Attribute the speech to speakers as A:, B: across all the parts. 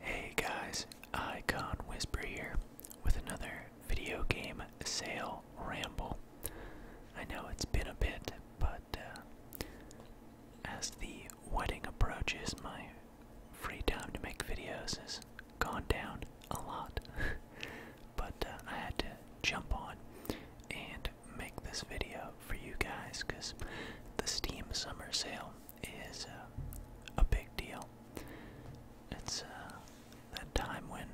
A: Hey guys, Icon Whisper here with another video game sale ramble. I know it's been a bit, but uh, as the wedding approaches, my free time to make videos has gone down a lot. but uh, I had to jump on and make this video for you guys because the Steam Summer Sale is uh, a big deal. It's uh, that time when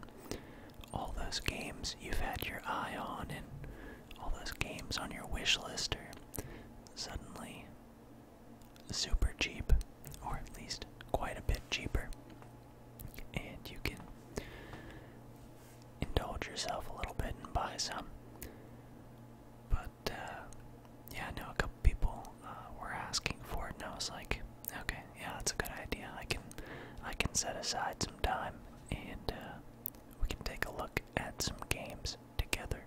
A: all those games you've had your eye on and all those games on your wish list are suddenly super cheap, or at least quite a bit cheaper, and you can indulge yourself a little bit and buy some. Uh, yeah, I know a couple people uh, were asking for it, and I was like, okay, yeah, that's a good idea. I can I can set aside some time, and uh, we can take a look at some games together.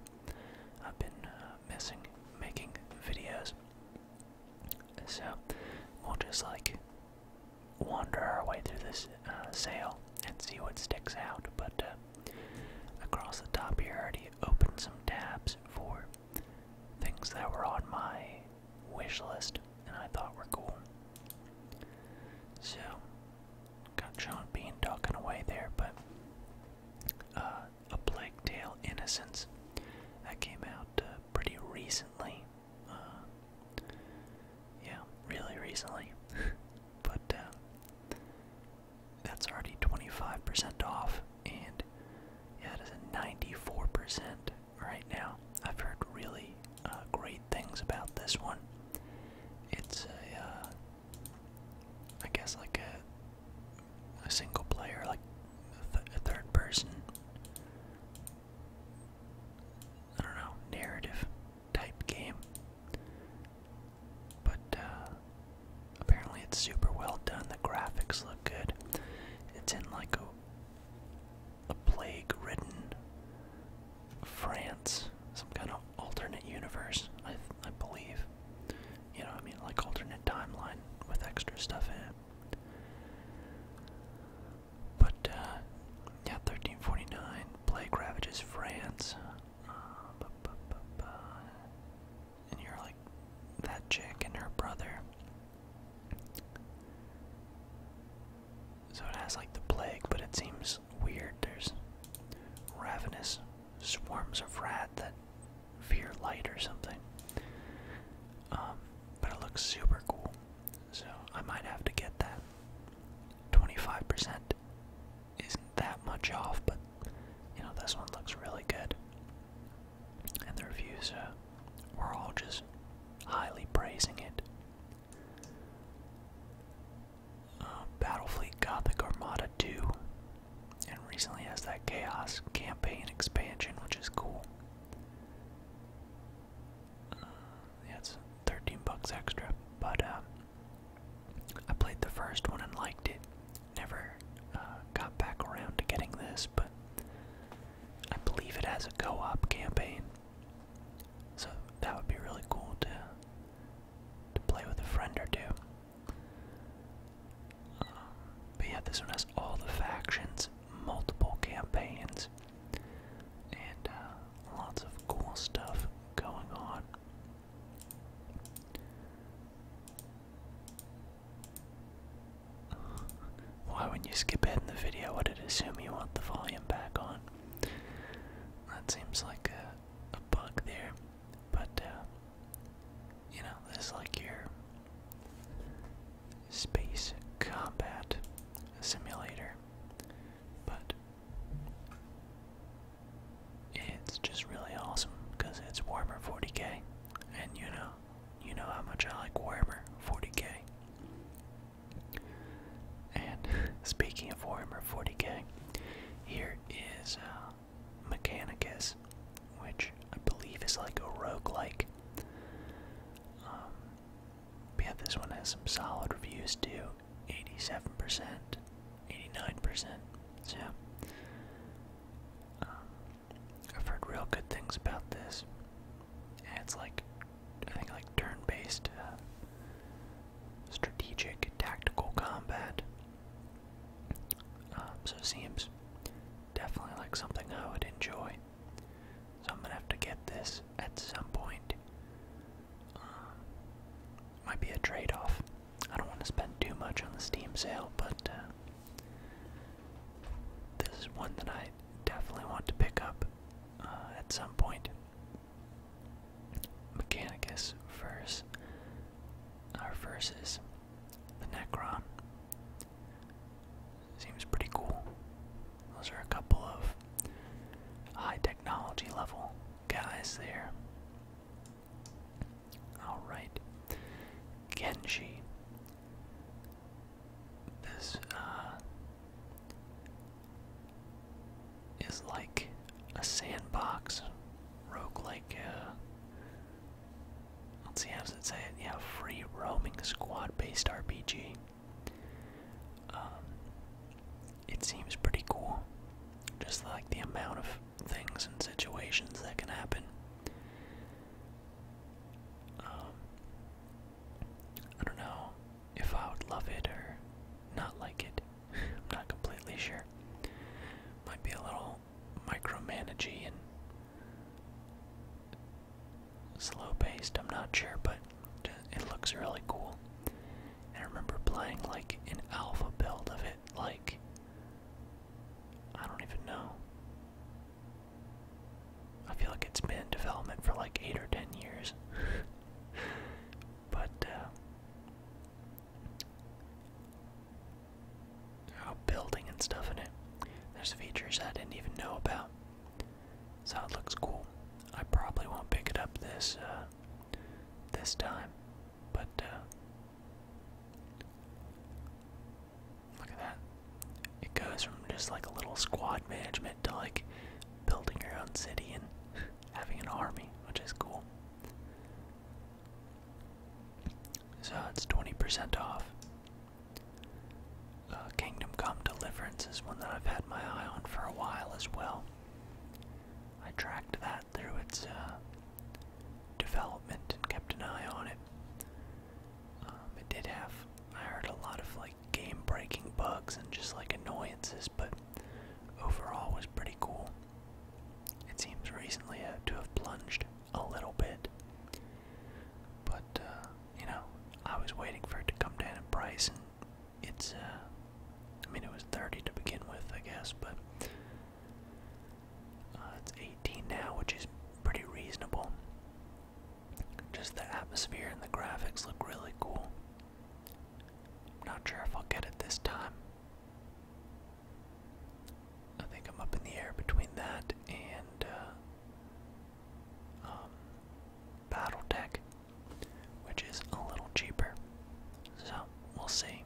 A: I've been missing making videos, so we'll just like wander our way through this sale and see what sticks out. But Across the top here, I already opened some tabs for things that were on my wish list and I thought were cool. So, got Sean Bean talking away there, but uh, A Plague Tale Innocence that came out uh, pretty recently. Uh, yeah, really recently. but that's already 25% off, and yeah, it is a 94% right now. I've heard really uh, great things about this one. It's a, uh, guess like a, a single player, like a, a third person, I don't know, narrative type game. But uh, apparently it's super well done. The graphics look good. It's in like a, plague ridden France, some kind of alternate universe, I, believe. You know, I mean, like alternate timeline with extra stuff in it. But, uh, yeah, 1349, Plague ravages France. And you're like that chick and her brother. So it has like the plague, but it seems weird. There's ravenous swarms of rat that fear light or something. Um, but it looks super cool. So I might have to get that. 25% isn't that much off, but you know, this one looks really good. And the reviews uh, were all just highly praising it. Uh, Battlefleet Gothic Armada 2, and recently has that Chaos Campaign expansion, which is cool. Uh, yeah, it's 13 bucks extra, but um, I played the first one and liked it. Never uh, got back around to getting this, but I believe it has a co op campaign. So that would be really cool to, to play with a friend or two. Um, but yeah, this one has all the factions, multiple campaigns, and uh, lots of cool stuff going on. Why, wouldn't you skip ahead in the video, would it assume you want the volume back on? That seems like a, bug there, but uh, you know, this is like your space combat simulator, but it's just really awesome because it's Warhammer 40k, and you know, you know how much I like Warmer 40k. And speaking of Warmer 40k, here is uh, Mechanicus, which I believe is like a rogue-like. Um, yeah, this one has some solid reviews too. 87% 89%. So, um, I've heard real good things about this. it's like, I think, like turn based, uh, strategic, tactical combat. Um, so, it seems definitely like something I would enjoy. So, I'm gonna have to get this at some point. Um, might be a trade off. I don't want to spend too much on the Steam sale, but uh, this is one that I definitely want to pick up uh, at some point. Mechanicus versus our uh, versus the Necron. Seems pretty cool. Those are a couple of high technology level guys there. Alright. Genji. This uh, is like a sandbox, rogue like uh, let's see how does it say it? Yeah, free roaming squad based RPG. Um, it seems pretty cool. Just like the amount of things and situations that can happen. Um, I don't know if I would love it or not like it. I'm not completely sure. Might be a little micromanagey and slow paced, I'm not sure, but it looks really cool. I remember playing like an alpha build of it like, I don't even know. I feel like it's been development for like 8 or 10 years. but, uh, building and stuff in it. There's features I didn't even know about. So it looks cool. I probably won't pick it up this, uh, this time. But, uh, Look at that. It goes from just like a little squad management to like building your own city and having an army, which is cool. So it's 20% off. Uh, Kingdom Come Deliverance is one that I've had my eye on for a while as well. I tracked that through its uh, development and kept an eye on it. Um, it did have, I heard a lot of like game breaking bugs and just like annoyances, but overall was pretty cool. It seems recently uh, to have plunged a little bit. But, uh, you know, I was waiting for it to come down in price and it's, uh, I mean, it was 30 to begin with, I guess, but uh, it's 18 now, which is pretty reasonable. Just the atmosphere and the graphics look really cool. I'm not sure if I'll get it this time. I think I'm up in the air between that and uh, um, BattleTech, which is a little cheaper. So we'll see.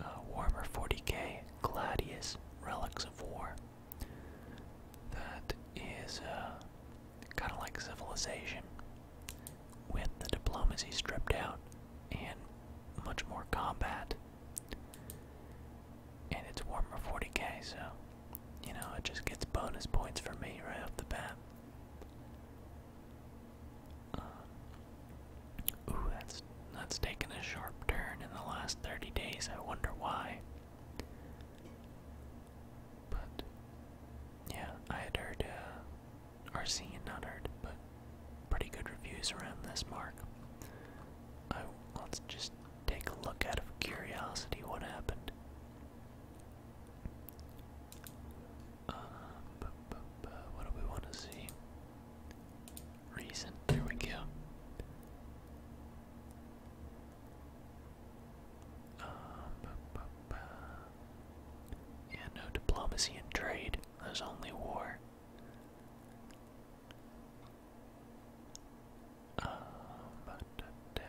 A: Uh, warmer 40k Gladius Relics of War. That is uh, kind of like Civilization, with the diplomacy stripped out and much more combat. And it's Warmer 40k, so you know it just gets bonus points for me right off the bat. Uh, ooh, that's that's taken a sharp turn in the last 30 days. I wonder why. But yeah, I had heard, uh, or not heard, but pretty good reviews around this mark. I let's just take a look out of curiosity what happened but, uh, but, but what do we want to see? Reason. There we go. Uh, but, but, but. Yeah, no diplomacy and trade. There's only war. Um, da, da.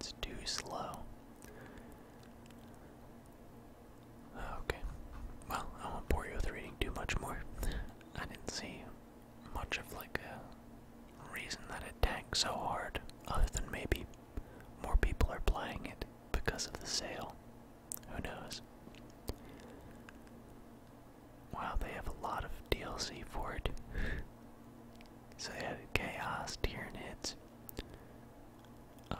A: It's too slow. Oh, okay. Well, I won't bore you with reading too much more. I didn't see much of like a reason that it tanked so hard, other than maybe more people are playing it because of the sale. Who knows? Wow, they have a lot of DLC for it. so they added Chaos, Tyranids. Uh,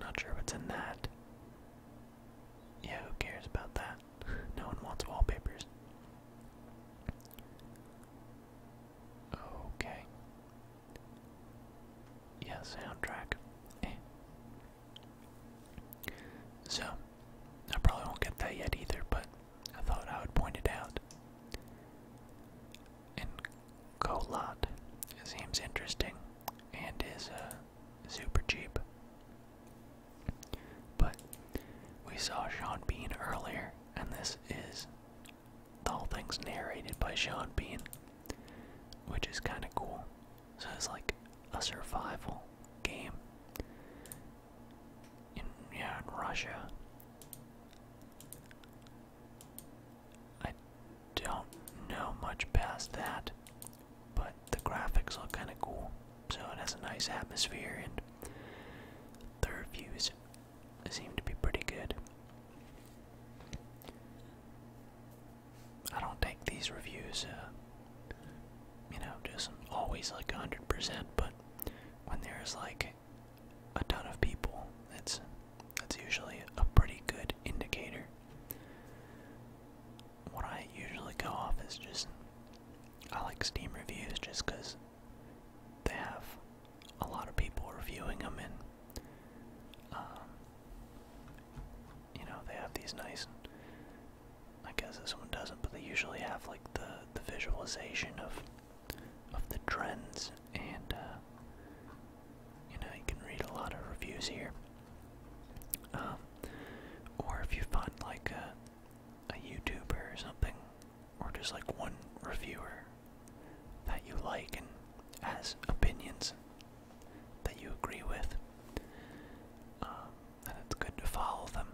A: not sure what's in that. Yeah, who cares about that? no one wants wallpapers. Okay. Yeah, soundtrack. Eh. So, I probably won't get that yet either, but I thought I would point it out. And Colot seems interesting and is uh, super cheap. But we saw Sean Bean earlier, and this is the whole thing's narrated by Sean Bean, which is kind of cool. So it's like a survival game yeah, in Russia. I don't know much past that, but the graphics look kind of cool. So it has a nice atmosphere, and the reviews seem to be pretty good. I don't take these reviews, uh, you know, just always like 100%, but when there's like a ton of people, that's that's usually a pretty good indicator. What I usually go off is just I like Steam reviews just because they have a lot of people reviewing them and um, you know they have these nice I guess this one doesn't, but they usually have like the the visualization of of the trends, and uh, you know you can read a lot of reviews here. Um, or if you find like a a YouTuber or something, or just like one reviewer that you like and has opinions that you agree with, um, then it's good to follow them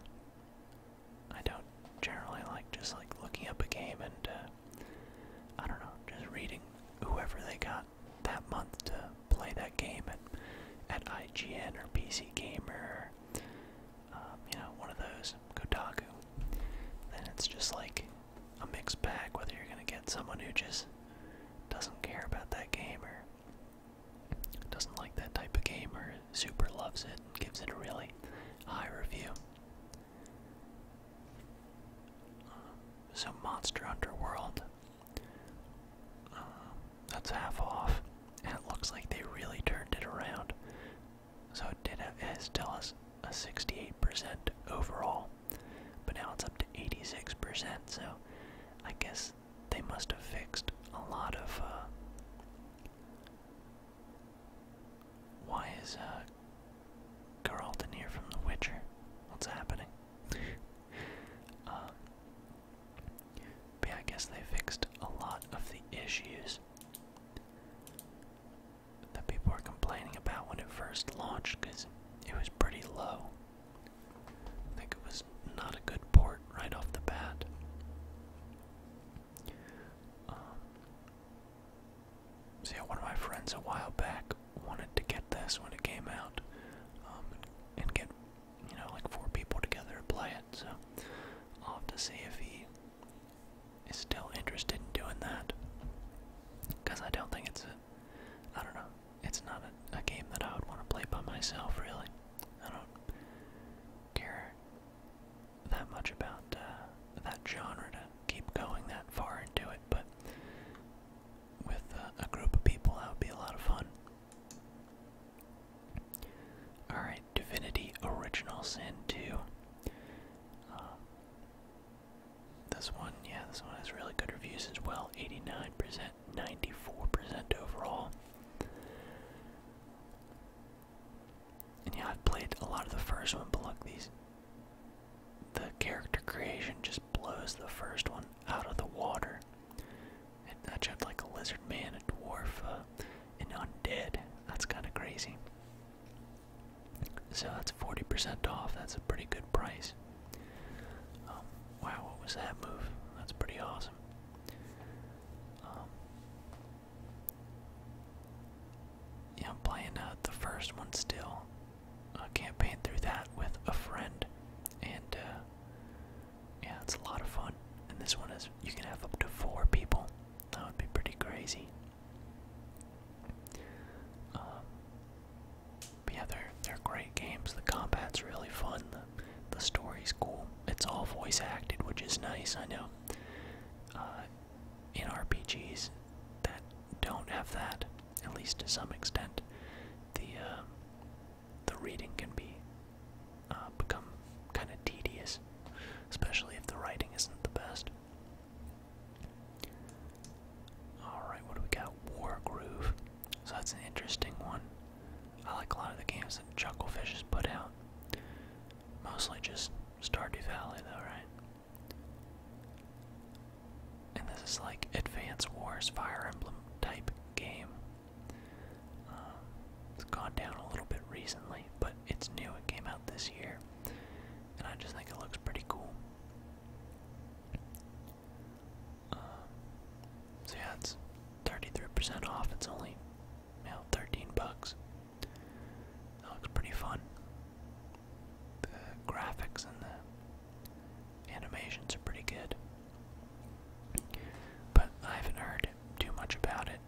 A: I don't generally like just like looking up a game and uh, I don't know, just reading whoever they got that month to play that game at at IGN or PC Gamer, um, you know, one of those Kotaku. Then it's just like a mixed bag whether you're gonna get someone who just doesn't care about that game or doesn't like that type of game or super loves it and gives it a really high review. So Monster Underworld, um, that's half off, and it looks like they really turned it around. So it did have, tell us a 68% overall, but now it's up to 86%. So I guess they must have fixed a lot of uh, why is uh Geralt in here from The Witcher? What's happening? Um, yeah, I guess they fixed a lot of the issues that people were complaining about when it first launched because it was pretty low. I think it was not a good port right off the bat. Um, so yeah, one of my friends a while back wanted to get this when it came out, um, and get you know like four people together to play it. So I'll have to see if he is still interested in doing that, because I don't think it's a, I don't know, it's not a, a game that I would want to play by myself really. I don't care that much about uh, that genre to keep going that far into it, but with uh, a group of people, that would be a lot of fun. Alright, Divinity Original Sin 2. Um, this one, yeah, this one has really good reviews as well 89%, 94% overall yeah, I've played a lot of the first one, but look, these. The character creation just blows the first one out of the water. And I jumped like a lizard man, a dwarf, uh, an undead. That's kind of crazy. So that's 40% off. That's a pretty good price. Um, wow, what was that move? That's pretty awesome. Um, yeah, I'm playing uh, the first one still. I can't campaign through that with a friend, and uh, yeah, it's a lot of fun. And this one is you can have up to four people. That would be pretty crazy. Um, yeah, they're they're great games. The combat's really fun the story's cool. It's all voice acted, which is nice. I know. Uh, in RPGs that don't have that, at least to some extent, the um, the reading can be uh, become kind of tedious, especially if the writing isn't the best. All right, what do we got? War Groove. So that's an interesting one. I like a lot of the games that Chucklefish has put out. Mostly just Stardew Valley, though, right? And this is like Advance Wars Fire Emblem type game. Um, it's gone down a little bit recently, but it's new. It came out this year. And I just think it looks pretty cool. Um, so yeah, it's 33% off. It's only 13 bucks. That looks pretty fun. The graphics and the animations are pretty good. But I haven't heard too much about it.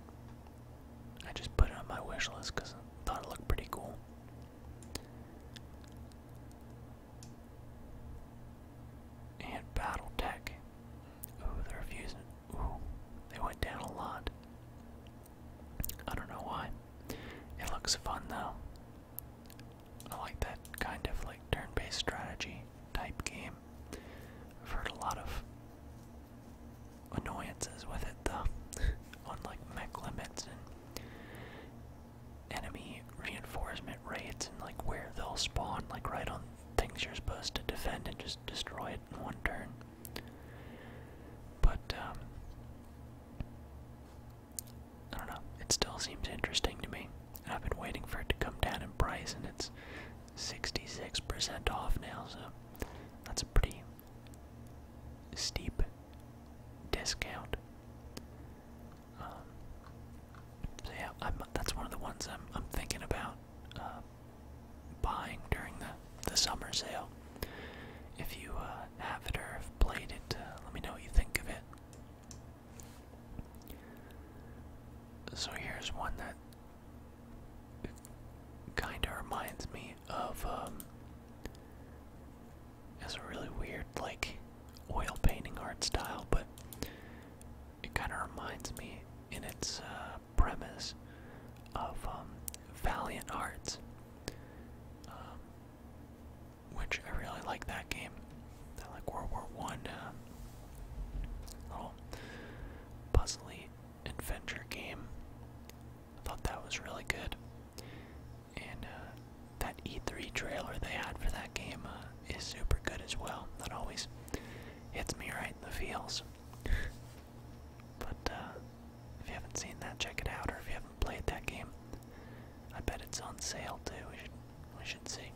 A: I just put it on my wish list because I thought it looked pretty cool. And Battletech. Ooh, the reviews Ooh, they went down a lot. I don't know why. It looks fun though. I like that kind of like turn-based strategy type game. I've heard a lot of annoyances with it though, on like mech limits and enemy reinforcement rates and like where they'll spawn, like right on things you're supposed to defend and just destroy it in one turn. But, um, I don't know, it still seems interesting to me. I've been waiting for it to come down in price, and it's 66% off now, so that's a pretty steep discount. Um, so yeah, I'm, that's one of the ones I'm, I'm thinking about um, buying during the, the summer sale. If you uh, have it or have played it, uh, let me know what you think of it. So here's one that kind of reminds me of it's um, a really weird like oil painting art style, but it kind of reminds me in its uh, premise of um, Valiant Hearts, um, which I really like that game. I like World War One, uh, little puzzly adventure game. thought that was really good, and uh, that E3 trailer they had for that game uh, is super good as well. That always hits me right in the feels. But uh, if you haven't seen that, check it out. Or if you haven't played that game, I bet it's on sale too. We should we should see.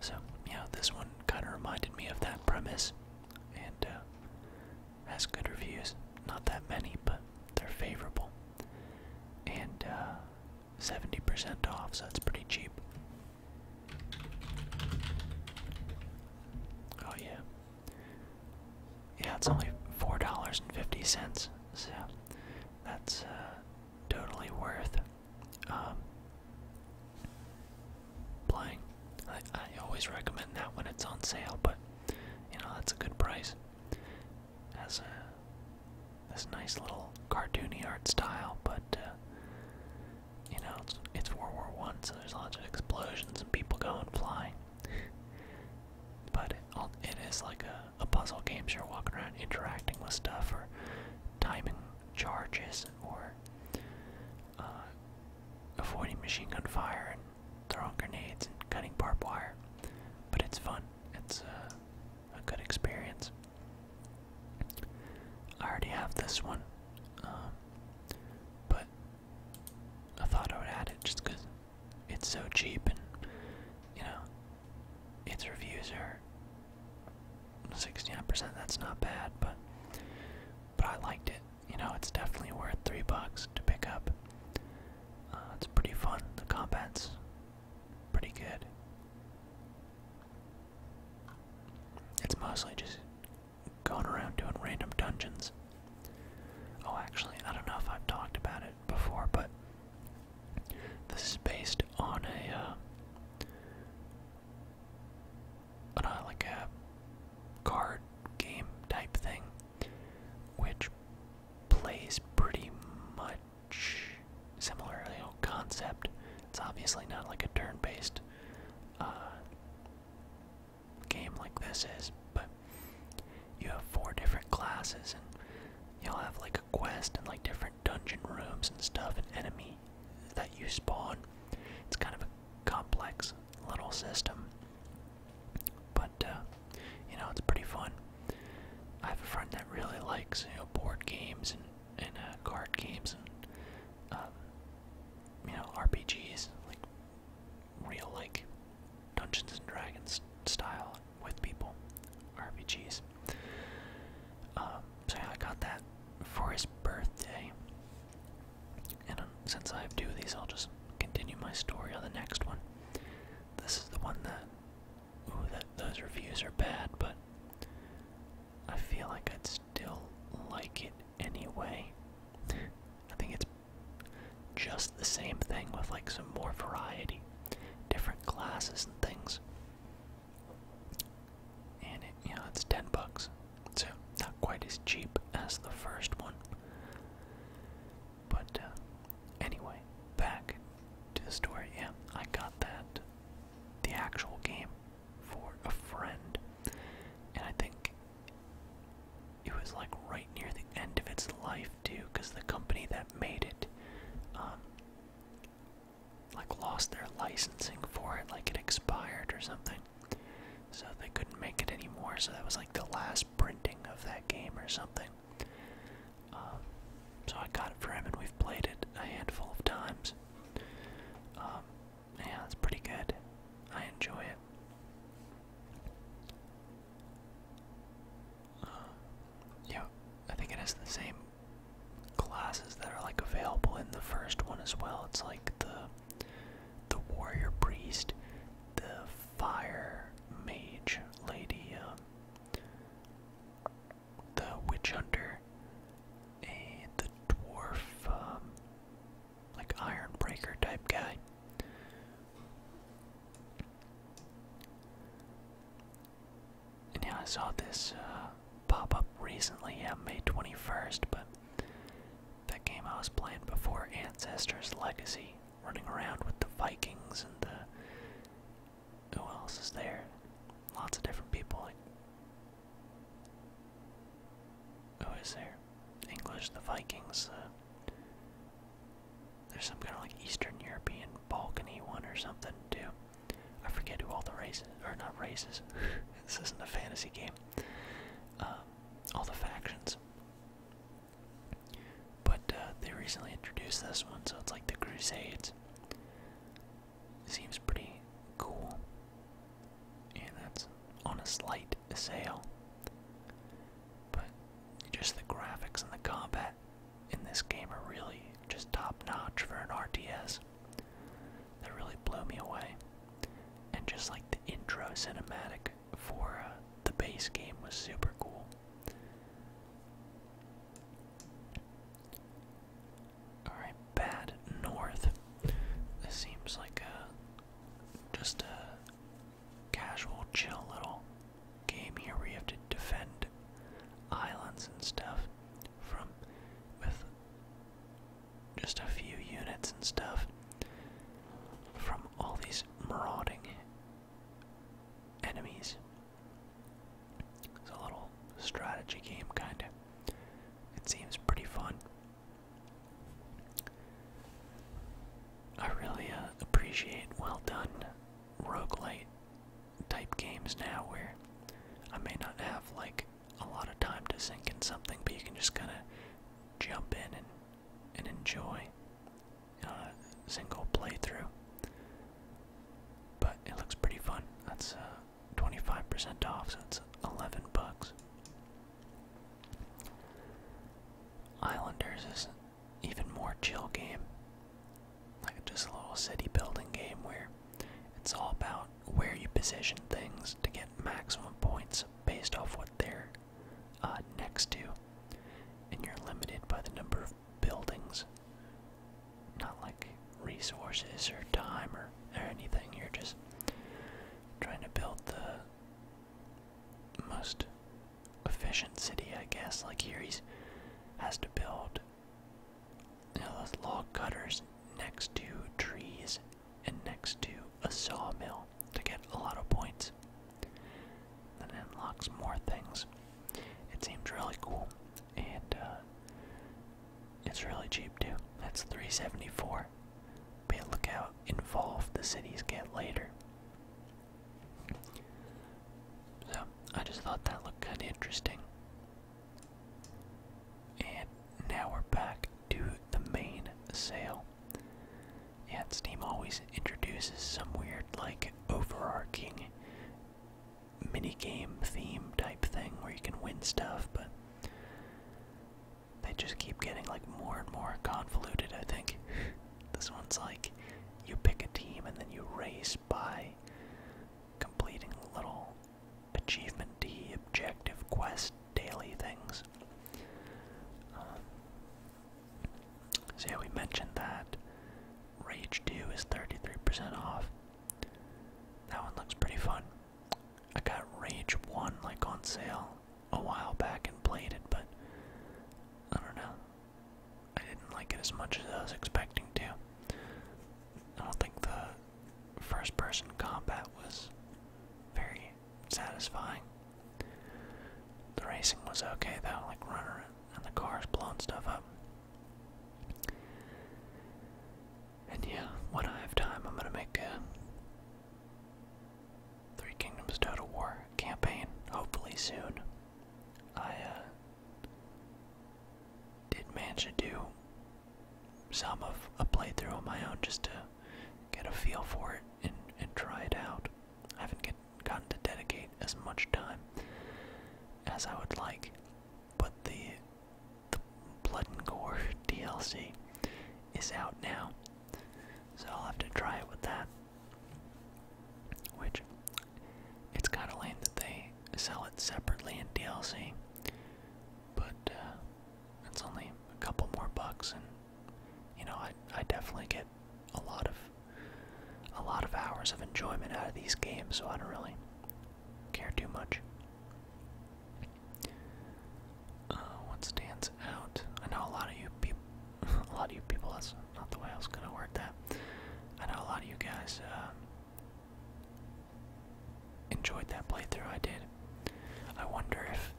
A: So yeah, this one kind of reminded me of that premise, and uh, has good reviews. Not that many, but they're favorable. And 70% uh, off, so that's pretty cheap. Oh yeah. Yeah, it's only four dollars and fifty cents, so that's uh, totally worth um, playing. I, always recommend that when it's on sale, but you know that's a good price. Has this nice little cartoony art style, but uh, you know, it's, World War One, so there's lots of explosions and people going flying. but it is like a, puzzle game, you're walking around interacting with stuff or timing charges or uh, avoiding machine gun fire and throwing grenades and cutting barbed wire. But it's fun. It's uh, a, good experience. I already have this one. Um, but I thought I would add it just because it's so cheap and, you know, its reviews are 69%. That's not bad, but but I liked it. You know, it's definitely worth three bucks to pick up. Uh, it's pretty fun. The combat's pretty good. It's mostly just going around doing random dungeons. Oh, actually, I don't know if I've talked about it before, but this is based on a, uh, on like a card game type thing, which plays pretty much similarly you know, concept. It's obviously not like a turn-based uh, game like this is, but you have four different classes and you'll have like a quest and like different dungeon rooms and stuff and enemy that you spawn. It's kind of a complex little system. But uh, you know, it's pretty fun. I have a friend that really likes, you know, board games and and uh, card games and um, you know, RPGs, like real like Dungeons and Dragons style with people, RPGs. Um, so I got that for his birthday. And um, since I have two of these, I'll just continue my story on the next one. This is the one that, ooh, that those reviews are bad, but I feel like I'd still like it anyway. I think it's just the same thing with like some more variety, different classes and things. And it, it's 10 bucks. So, not quite as cheap as the first one. But uh, anyway, back to the story. Yeah, I got that the actual game for a friend. And I think it was like right near the end of its life too, because the company that made it, um, like lost their licensing for it, like it expired or something. So they couldn't make it anymore. So that was like the last printing of that game or something. Um, so I got it for him, and we've played it a handful of times. Um, yeah, it's pretty good. I enjoy it. Uh, yeah, I think it has the same classes that are like available in the first one as well. It's like the the warrior priest, the fire mage lady, um, the witch hunter, and the dwarf. Um, like Ironbreaker type guy. And yeah, I saw this uh, pop up recently, yeah, May 21st, but that game I was playing before, Ancestors Legacy, running around with the Vikings and the. Who else is there? Lots of different people, like who is there? English, the Vikings, uh, there's some kind of like Eastern European Balkany one or something too. I forget who all the races, or not races, this isn't a fantasy game. Um, all the factions. But uh, they recently introduced this one, so it's like the Crusades. Seems pretty cool and that's on a slight sale. But just the graphics and the combat in this game are really just top notch for an RTS. That really blew me away. And just like the intro cinematic for uh, the base game was super cool. Alright, Bad North. This seems like a just a casual, chill little game here where you have to defend islands and stuff from with just a few units and stuff from all these marauding enemies. It's a little strategy game, kinda. It seems pretty fun. I really uh, appreciate well done rogue roguelite type games now where I may not have like a lot of time to sink in something, but you can just kind of jump in and, and enjoy a uh, single playthrough. But it looks pretty fun. That's 25% uh, off, so it's 11 bucks. Islanders is an even more chill game. Like just a little city building game where it's all about where you position things to get maximum points based off what they're uh, next to. And you're limited by the number of buildings. Not like resources or time or, or anything. You're just trying to build the most efficient city, I guess. Like here, he has to build those log cutters next to trees and next to a sawmill to get a lot of points. Then it unlocks more things. It seems really cool, and uh, it's really cheap too. That's 374. Man, look how involved the cities get later. So, I just thought that looked kind of interesting. And now we're back to the main sale. Yeah, Steam always introduces some weird, like, overarching minigame theme type thing where you can win stuff, but they just keep getting like more and more convoluted, I think. this one's like you pick a team and then you race by completing little achievement D objective quest daily things. Um, so yeah, we mentioned that Rage 2 is 33% off. That one looks pretty fun. I got Rage 1 like on sale a while back and played it, but I don't know. I didn't like it as much as I was expecting to. I don't think the first person combat was very satisfying. The racing was okay though, like running and the cars blowing stuff up. And yeah, when I have time, I'm gonna make a Three Kingdoms Total War campaign, hopefully soon. I uh, did manage to do some of a playthrough on my own just to get a feel for it and, and try it out. I haven't gotten to dedicate as much time as I would like, but the, the Blood and Gore DLC is out now. So I'll have to try it with that. Which, it's kind of lame that they sell it separately in DLC. But, uh, it's only a couple more bucks and, you know, I, I definitely get a lot of, a lot of hours of enjoyment out of these games, so I don't really care too much what uh, stands out? I know a lot of you people, a lot of you people. That's not the way I was gonna word that. I know a lot of you guys uh, enjoyed that playthrough I did. I wonder if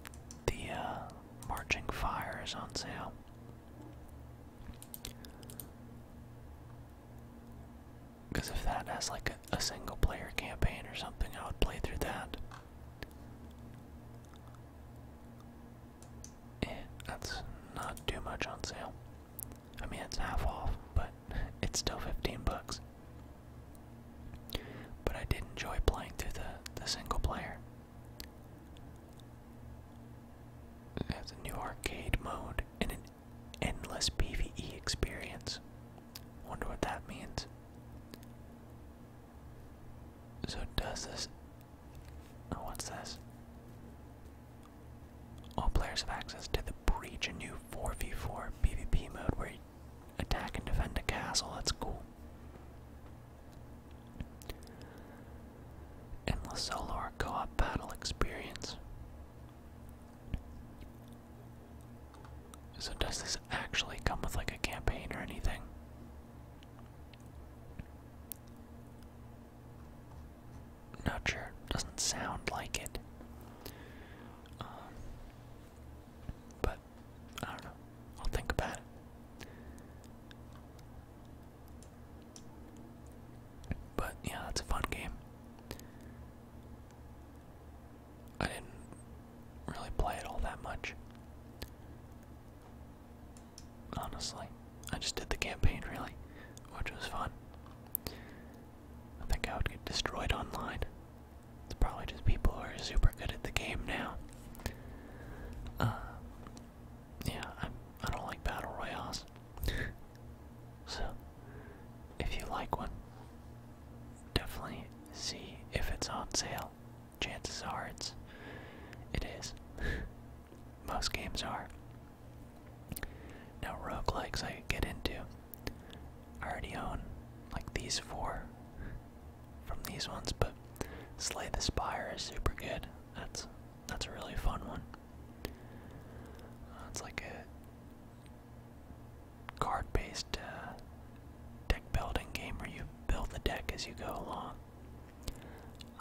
A: the uh, Marching Fire is on sale. Because if that has like a single player campaign or something, I would play through that. Eh, that's not too much on sale. I mean, it's half off, but it's still 15 bucks. But I did enjoy playing through the, the single player. It has a new arcade mode and an endless PvE experience. Wonder what that means. So does this oh what's this? All players have access to the breach, a new 4v4 PvP mode where you attack and defend a castle, that's cool. Endless solo or co-op battle experience. So does this actually come with like a campaign or anything? Not sure. Doesn't sound like it. Um, but I don't know. I'll think about it. But yeah, that's a fun game. I didn't really play it all that much. Honestly, I just did the campaign really, which was fun. I think I would get destroyed online. It's probably just people who are super good at the game now. Uh, yeah, I'm, I don't like battle royals. so, if you like one, definitely see if it's on sale chances are it's it is. Most games are. No rogue roguelikes I get into. I already own like these four from these ones, but Slay the Spire is super good. That's that's a really fun one. Uh, like a card-based uh, deck building game where you build the deck as you go along.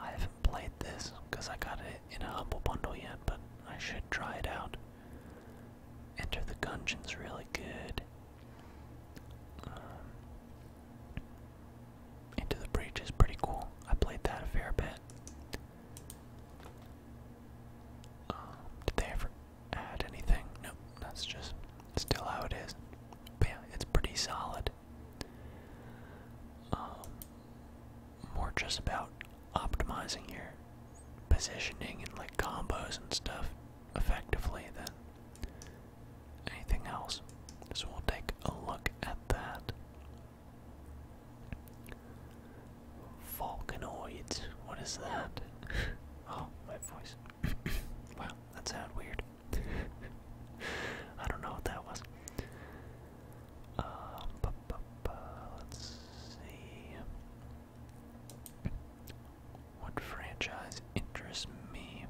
A: I haven't played this because I got it in a humble bundle yet, but I should try it out. Enter the dungeons, really good. Um, Into the Breach is pretty cool. I played that a fair bit. Um, did they ever add anything. Nope, that's just still how it is. But yeah, it's pretty solid. Um, more just about optimizing your positioning and like combos and stuff effectively than anything else. So we'll take a look at that. Vulcanoids, what is that? oh, my voice. wow. That sounded weird. I don't know what that was. Um, let's see. What franchise interests me?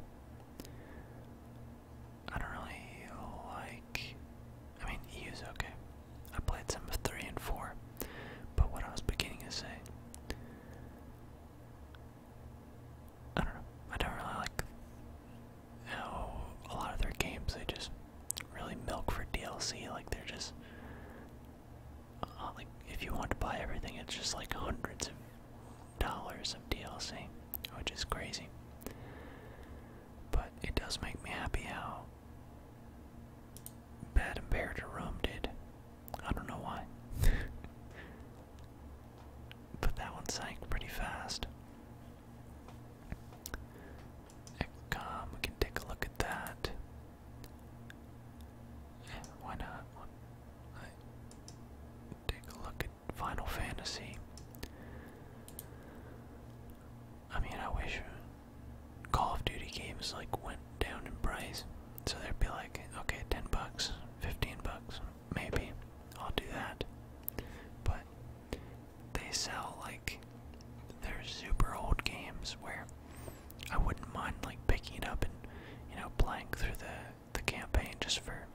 A: I don't really like. I mean, EU's okay. I played some of 3 and 4, but what I was beginning to say. I don't know. I don't really like how a lot of their games they just really milk for DLC. Like they're just uh, like if you want to buy everything, it's just like hundreds of dollars of DLC, which is crazy. But it does make me happy how Bad and to Rome did. I don't know why. but that one sank pretty fast. Eccom, we can take a look at that. why not? take a look at Final Fantasy. I mean, I wish Call of Duty games like went down in price, so they'd be like, okay, ten bucks 15 bucks, maybe. I'll do that. But they sell like they're super old games where I wouldn't mind like picking it up and you know playing through the the campaign just for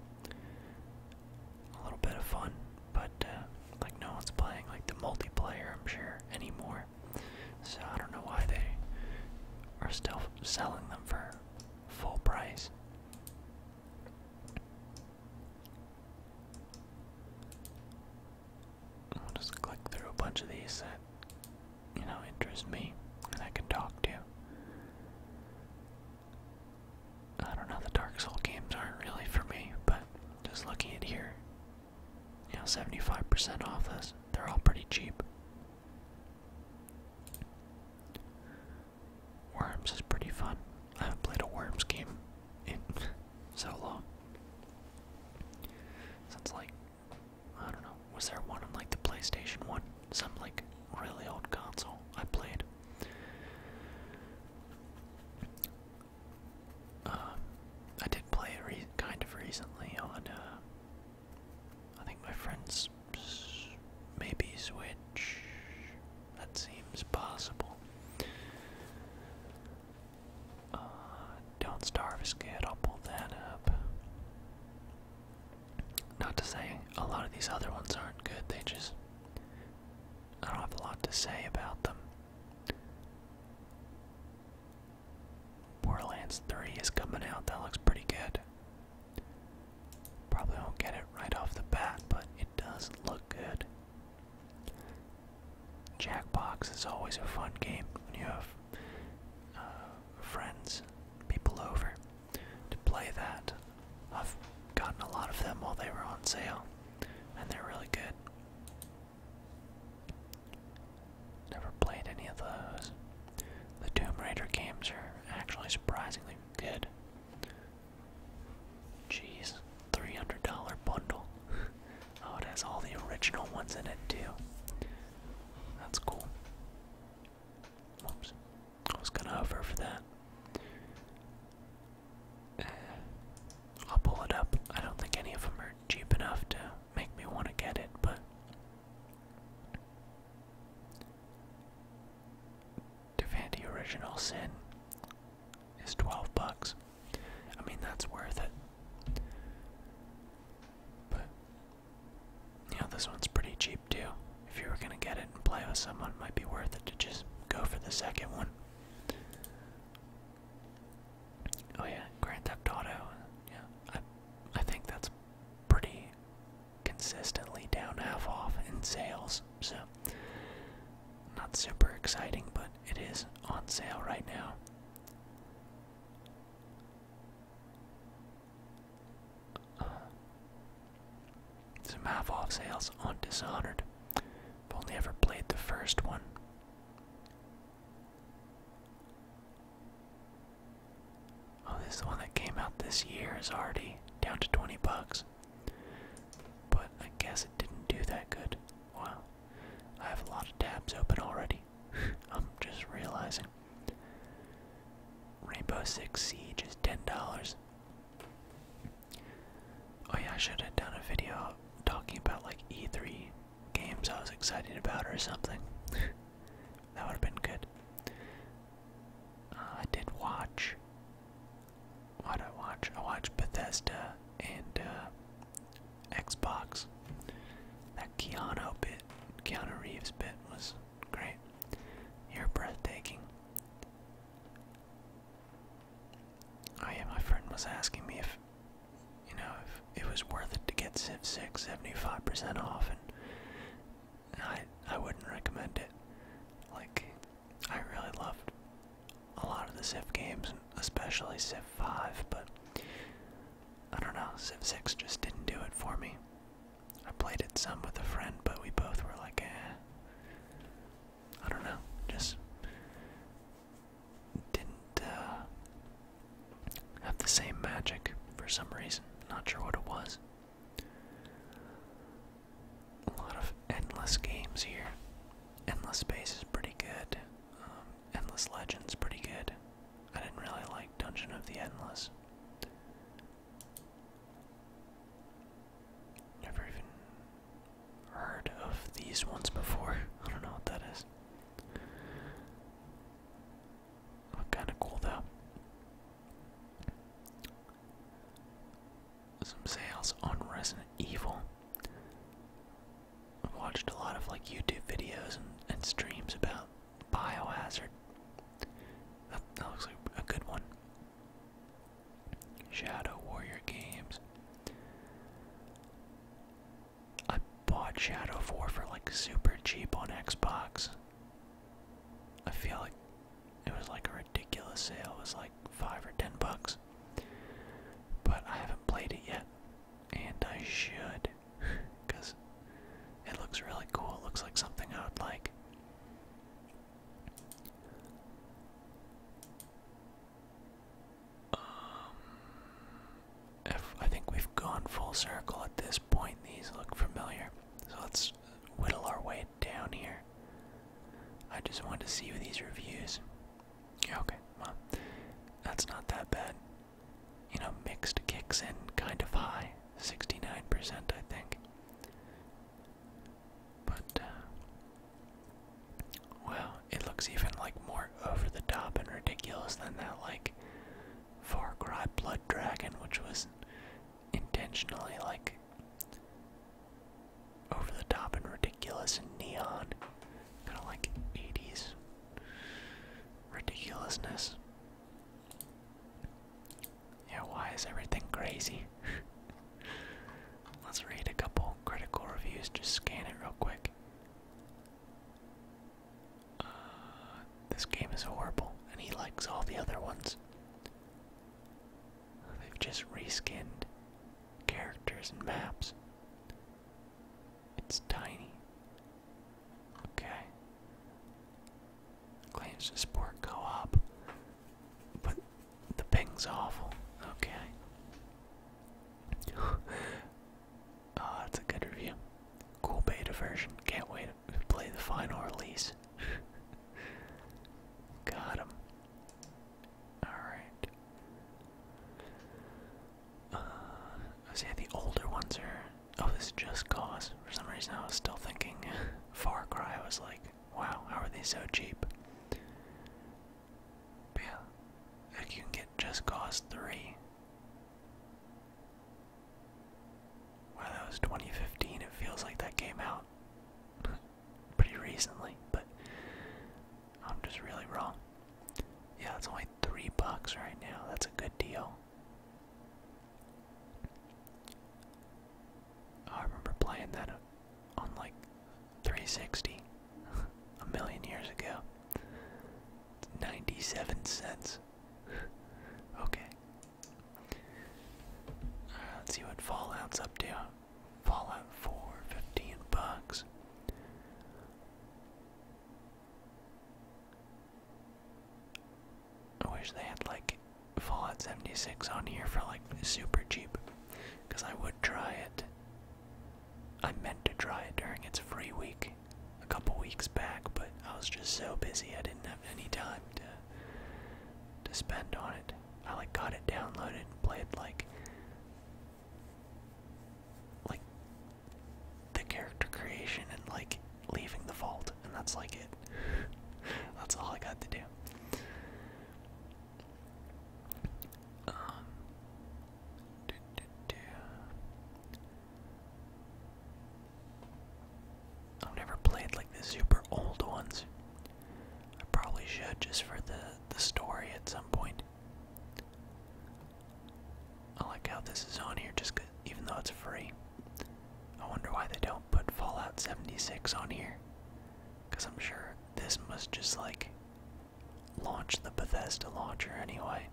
A: a little bit of fun. But uh, like no one's playing like the multiplayer, I'm sure anymore. So I don't know why they are still selling them for full price. We'll just click through a bunch of these that, you know, interest me and I can talk to. I don't know, the Dark Soul games aren't really for me, but just looking at here, you know, 75% off this, they're all pretty cheap. Worms is pretty fun. I haven't played a Worms game in so long. Since like, I don't know, was there one on like the PlayStation 1? Some like really old console I played. Uh, I did play it kind of recently on uh, I think my friends maybe switch. That seems possible. Uh, don't starve is I'll pull that up. Not to say a lot of these other ones aren't good. They just I don't have a lot to say about them. Borderlands 3 is coming out. That looks pretty good. Probably won't get it right off the bat, but it does look good. Jackbox is always a fun game when you have uh, friends, people over to play that. I've gotten a lot of them while they were on sale, and they're really good. Never played any of those. The Tomb Raider games are actually surprisingly good. Jeez, $300 bundle. oh, it has all the original ones in it too. That's cool. Oops, I was gonna hover for that. Eh, I'll pull it up. I don't think any of them are cheap enough to make me want to get it, but Devanti Original Sin is 12 bucks. I mean, that's worth it. But, you know, this one's pretty cheap too. If you were gonna get it and play with someone, it might be worth it to just go for the second one. Oh yeah, Grand Theft Auto. Uh, yeah, I, I think that's pretty consistently down half off in sales. So, not super exciting, but it is on sale right now. Uh, some half off sales on Dishonored. I've only ever played the first one. Oh, this is the one that came out this year is already down to 20 bucks. But I guess it didn't do that good. Well, I have a lot of tabs open already. I'm just realizing. Rainbow Six Siege is $10. Oh yeah, I should have done a video talking about like E3 games I was excited about or something. That would have been good. Uh, I did watch. What I watch? I watched Bethesda and uh, Xbox. That Keano bit, Keanu Reeves bit was great. You're breathtaking. Oh, my friend was asking me if, you know, if it was worth it to get Civ 6 75% off, and I I wouldn't recommend it. Like I really loved a lot of the Civ games, especially Civ 5, but I don't know, Civ 6 just didn't do it for me. I played it some with a friend, but we both were like, eh. I don't know, just didn't uh, have the same magic for some reason. Not sure what it was. A lot of endless games here. Endless Space is pretty good. Um, endless Legends pretty good. I didn't really like Dungeon of the Endless. Never even heard of these ones before. I don't know what that is. kinda cool though some sales on Resident Evil. I've watched a lot of like YouTube videos and, and streams about Biohazard. That, looks like a good one. Shadow Warrior Games. I bought Shadow 4 for like super cheap on Xbox. I feel like it was like a ridiculous sale. It was like five or ten bucks. But I haven't played it yet, and I should, because it looks really cool. It looks like something I would like. Um, I think we've gone full circle at this point. These look familiar, so let's whittle our way down here. I just wanted to see these reviews. okay, well, that's not that bad. You know, mixed kicks in kind of high, 69%, I think. But, uh, well, it looks even like more over the top and ridiculous than that, like, Far Cry Blood Dragon, which was intentionally like over the top and ridiculous and neon. Kind of like 80s ridiculousness. Yeah, why is everything crazy? Let's read a couple critical reviews, just scan it real quick. Uh, this game is horrible, and he likes all the other ones. They've just reskinned characters and maps. It's tiny. Okay. Claims to sport co op. But the ping's awful. Okay. oh, that's a good review. Cool beta version. Can't wait play the final release. Got him. All right. Uh, I the older ones are. Oh, this is Just Cause. For some reason, I was still thinking Far Cry. I was like, wow, how are they so cheap? But yeah, like you can get Just Cause 3 Wow, that was 2015. It feels like that came out pretty recently, but I'm just really wrong. Yeah, it's only three bucks right now. That's a good deal. I remember playing that on like 360 a million years ago. 97 cents okay. Uh, let's see what Fallout's up to. Fallout 4, bucks. I wish they had like Fallout 76 on here for like super cheap, because I would try it. I meant to try it during its free week a couple weeks back, but I was just so busy I didn't have any time to to spend on it. I like got it downloaded and played like like the character creation and like leaving the vault and that's like it. that's all I got to do. Um, I've never played like the super old ones. I probably should just for the the story at some point. I like how this is on here just cause, even though it's free. I wonder why they don't put Fallout 76 on here. Cause I'm sure this must just like launch the Bethesda launcher anyway.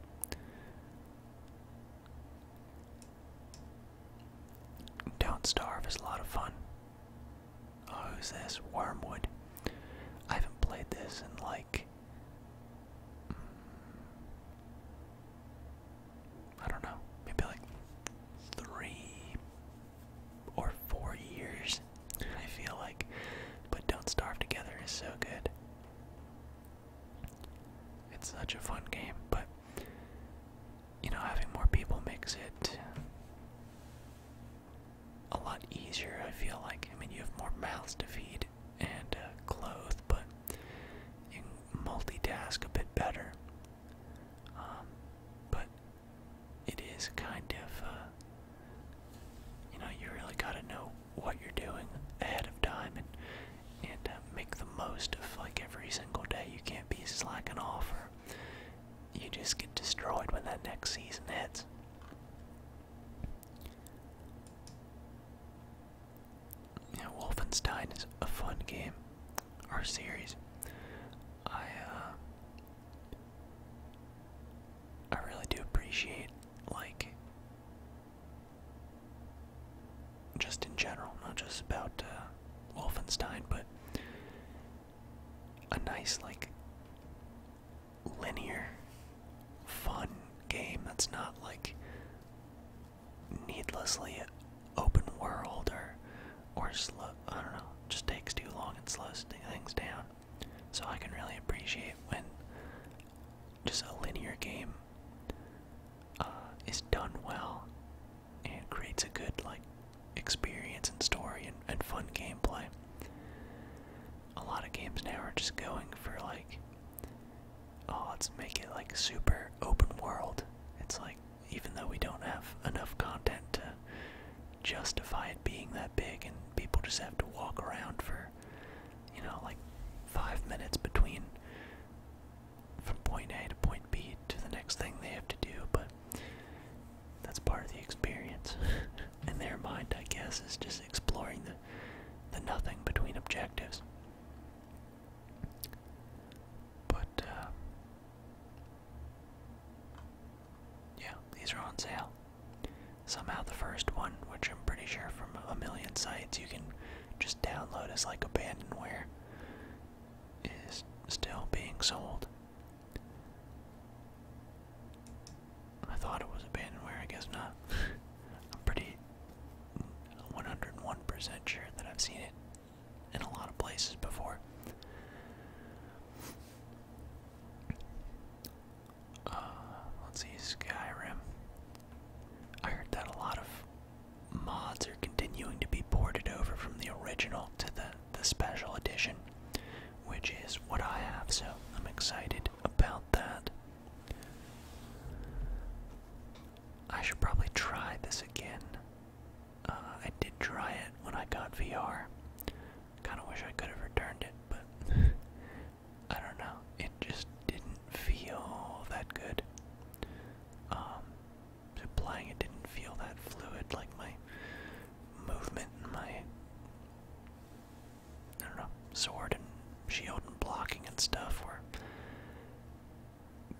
A: Don't Starve is a lot of fun. Oh, who's this? Wormwood. I haven't played this in like. Mm, I don't know, maybe like three or four years, I feel like. But Don't Starve Together is so good. It's such a fun game, but you know, having more people makes it a lot easier, I feel like. I mean, you have more mouths to feed and uh, clothes, but you multitask a bit better. Um, but it is kind of, uh, you know, you really gotta know what you're doing ahead of time and and uh, make the most of like every single day. You can't be slacking off, offer. you just get destroyed when that next season hits. Yeah, Wolfenstein is a fun game or series. I uh, I really do appreciate like just in general, not just about uh, Wolfenstein, but a nice, like, linear, fun game that's not like needlessly open world or or slow. I don't know, just takes too long and slows things down. So I can really appreciate when just a linear game uh, is done well and it creates a good like experience and story and, and fun gameplay. A lot of games now are just going for like oh let's make it like super open world. It's like even though we don't have enough content to justify it being that big and people just have to walk around for you know like five minutes between from point A to point B to the next thing they have to do, but that's part of the experience. In their mind, I guess, is just exploring the the nothing between objectives. But uh, yeah, these are on sale. Somehow the first one, which I'm pretty sure from a million sites, you can just download as like abandonware is still being sold. I thought it was abandonware, I guess not. I'm pretty 101% sure that I've seen it in a lot of places before. Uh, let's see, Skyrim. I heard that a lot of mods are continuing to be ported over from the original to the, the special edition, which is what I have, so I'm excited about that. I should probably try this again. Uh, I did try it when I got VR. Kind of wish I could have returned it, but I don't know. It just didn't feel that good. Um, applying it didn't feel that fluid, like my movement and my I don't know, sword and shield and blocking and stuff were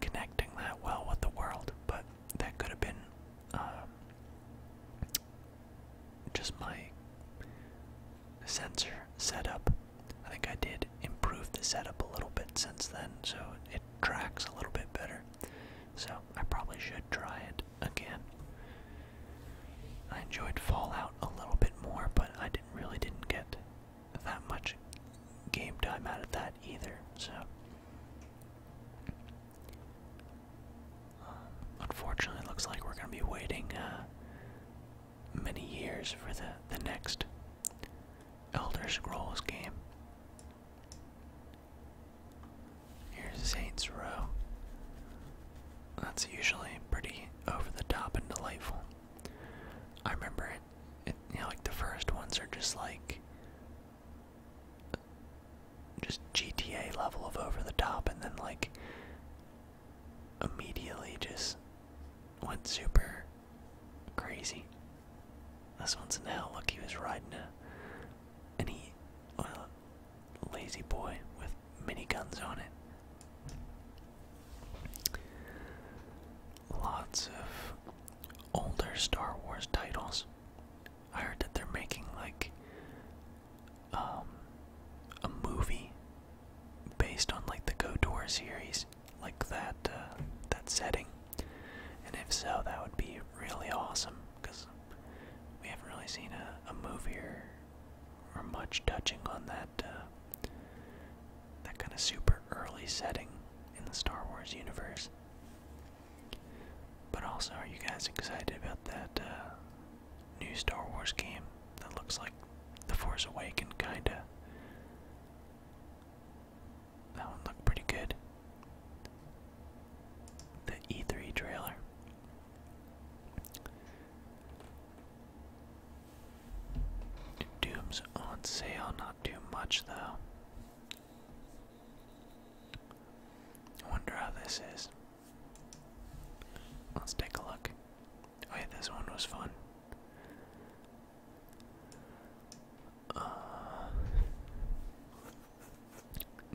A: connecting that well with the world, but that could have been um, just my sensor setup. I think I did improve the setup a little bit since then, so it tracks a little bit better. So I probably should try it again. I enjoyed Fallout a little bit more, but I didn't really didn't get that much game time out of that either. So uh, unfortunately, it looks like we're going to be waiting uh, many years for the next Elder Scrolls game. Here's Saints Row. That's usually pretty over the top and delightful. I remember it, it like the first ones are just like just GTA level of over the top and then like immediately just went super crazy. This one's hell. Look, he was riding a, and he, well, lazy boy with mini guns on it. Lots of older Star Wars titles. I heard that they're making like um, a movie based on like the KOTOR series, like that uh, that setting. And if so, that would be really awesome because we haven't really seen a, movie or, or much touching on that uh, that kind of super early setting in the Star Wars universe. But also, are you guys excited about that uh, new Star Wars game that looks like The Force Awakens, kinda? That one looked pretty good. The E3 trailer. Doom's on sale, not too much though. I wonder how this is. Let's take a look. Oh yeah, this one was fun. Uh,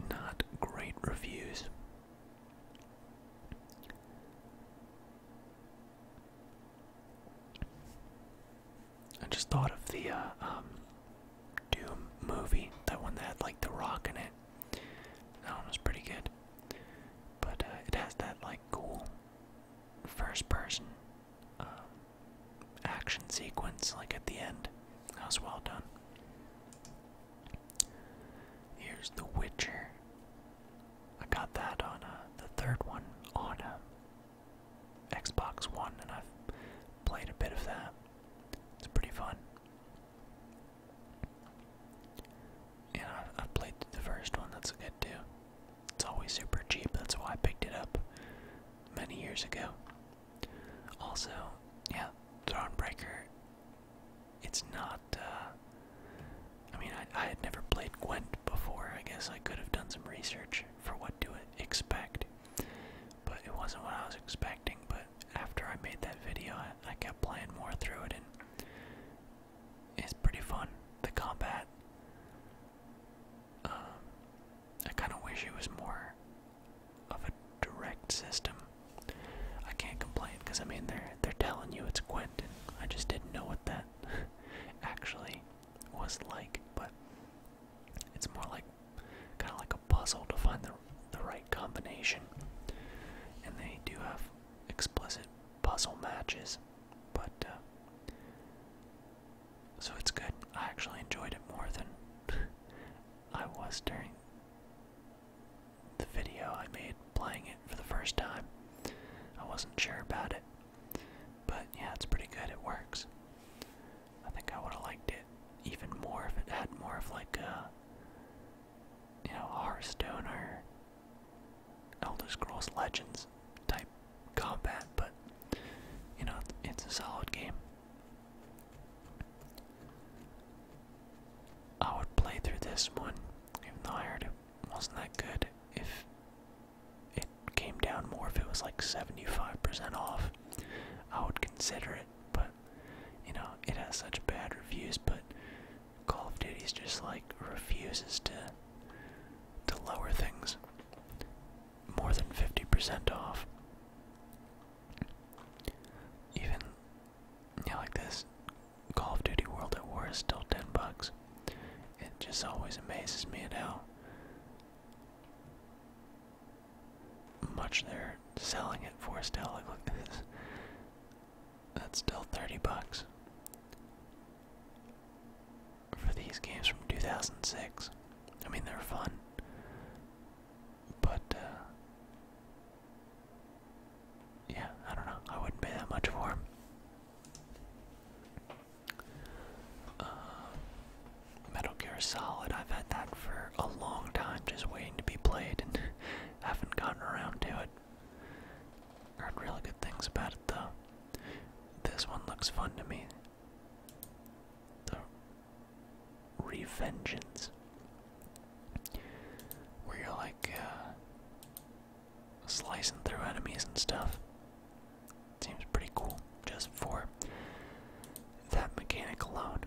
A: not great reviews. I just thought of the uh, um, Doom movie, that one that had like The Rock in it. That one was pretty good. But uh, it has that like cool first person um, action sequence, like at the end. That was well done. Here's The Witcher. I got that on uh, the third one on uh, Xbox One, and I've played a bit of that. It's pretty fun. And I've, played the first one, that's a good too. It's always super cheap, that's why I picked it up many years ago. Also, yeah, Thronbreaker. It's not. Uh, I mean, I, had never played Gwent before. I guess I could have done some research for what to expect, but it wasn't what I was expecting. But after I made that video, I kept playing more through it, and it's pretty fun. The combat. Um, I kind of wish it was more of a direct system. I can't complain because I mean they're they're telling you it's Quentin. I just didn't know what that actually was like, but it's more like kind of like a puzzle to find the the right combination. And they do have explicit puzzle matches, but uh, so it's good. I actually enjoyed it more than I was during the video I made playing it for the first time. I wasn't sure about it. But yeah, it's pretty good. It works. I think I would have liked it even more if it had more of like a, uh, you know, Hearthstone or Elder Scrolls Legends type combat, but you know, it's a solid game. I would play through this one, even though I heard it wasn't that good, if it came down more, if it was like 75% off, I would consider it, but you know, it has such bad reviews, but Call of Duty's just like refuses to to lower things more than 50% off. Even yeah, like this Call of Duty World at War is still 10 bucks. It just always amazes me at how much they're selling it for still. Like look at this. That's still 30 bucks for these games from 2006. I mean, they're fun, but uh, yeah, I don't know. I wouldn't pay that much for them. Uh, Metal Gear Solid, I've had that for a long time, just waiting to be played, and haven't gotten around to it. Heard really good things about it though. This one looks fun to me. The Revengeance. Where you're like, uh, slicing through enemies and stuff. Seems pretty cool just for that mechanic alone.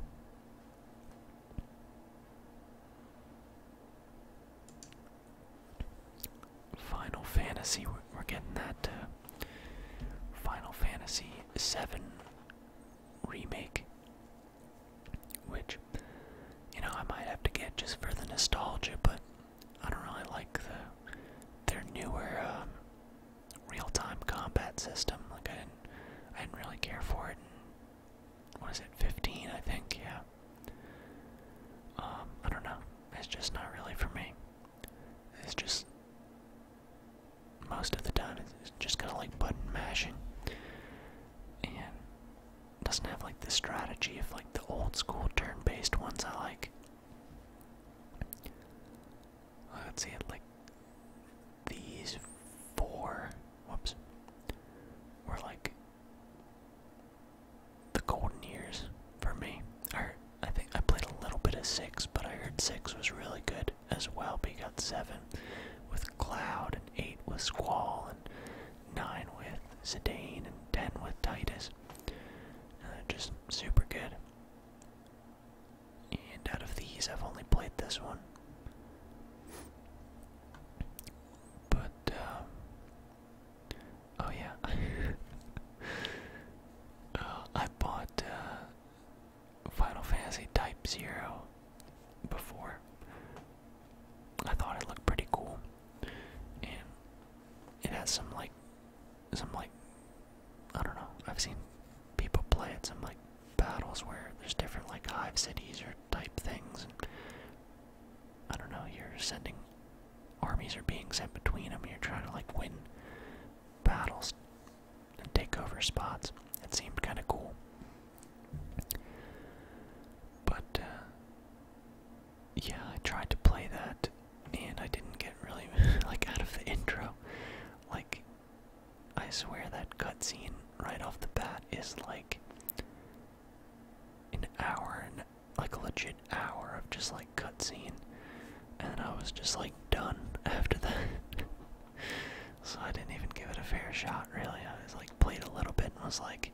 A: Final Fantasy, we're getting that uh, Final Fantasy 7 remake. Which, you know, I might have to get just for the nostalgia, but I don't really like the their newer um, real-time combat system. Like I didn't, I didn't really care for it. In, what is it, 15? I think, yeah. Um, I don't know. It's just not really for me. It's just most of the time it's just kind of like button mashing and doesn't have like the strategy of like the old school turn-based ones I like. I'd say like these four, whoops, were like the golden years for me. I think I played a little bit of six, but I heard six was really good as well got seven with Cloud, and eight with Squall, and nine with Zidane, and ten with Titus. just super good. And out of these, I've only played this one. But, um, oh yeah. Uh, I bought uh, Final Fantasy Type Zero before. I thought it looked pretty cool, and it has some like, some like, I don't know. I've seen people play it some like battles where there's different like hive cities or type things, and I don't know. You're sending armies are being sent between them. You're trying to like win battles and take over spots. It seemed kind of cool. But, uh, yeah, I tried to play that and I didn't get really, like, out of the intro. Like, I swear that cutscene right off the bat is like an hour and like a legit hour of just like cutscene and then I was just like done after that. so I didn't even give it a fair shot, really. I was like played a little bit and was like,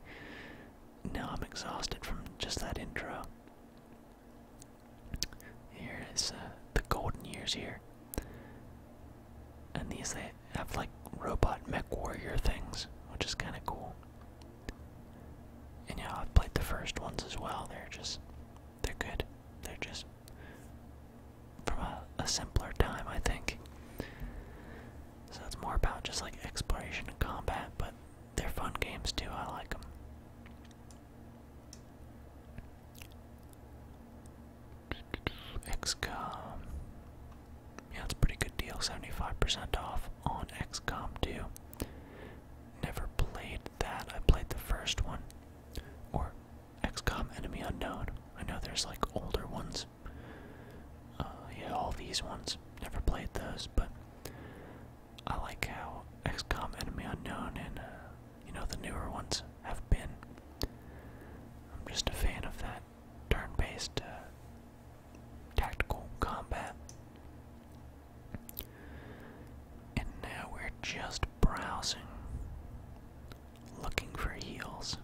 A: "No, I'm exhausted from just that intro. Here is uh, the golden years here. And these they have like robot mech warrior things, which is kind of cool. And yeah, I've played the first ones as well. They're just they're good. They're just from a, simpler time, I think. So it's more about just like exploration and combat, but they're fun games too. I like them. XCOM. Yeah, it's a pretty good deal. 75% off on XCOM 2. Never played that. I played the first one. Or XCOM Enemy Unknown. I know there's like older ones. Uh, yeah, all these ones. Never played those, but I like how XCOM Enemy Unknown and, uh, you know, the newer ones have been. I'm just a fan of that turn based uh, tactical combat. And now we're just browsing, looking for heels.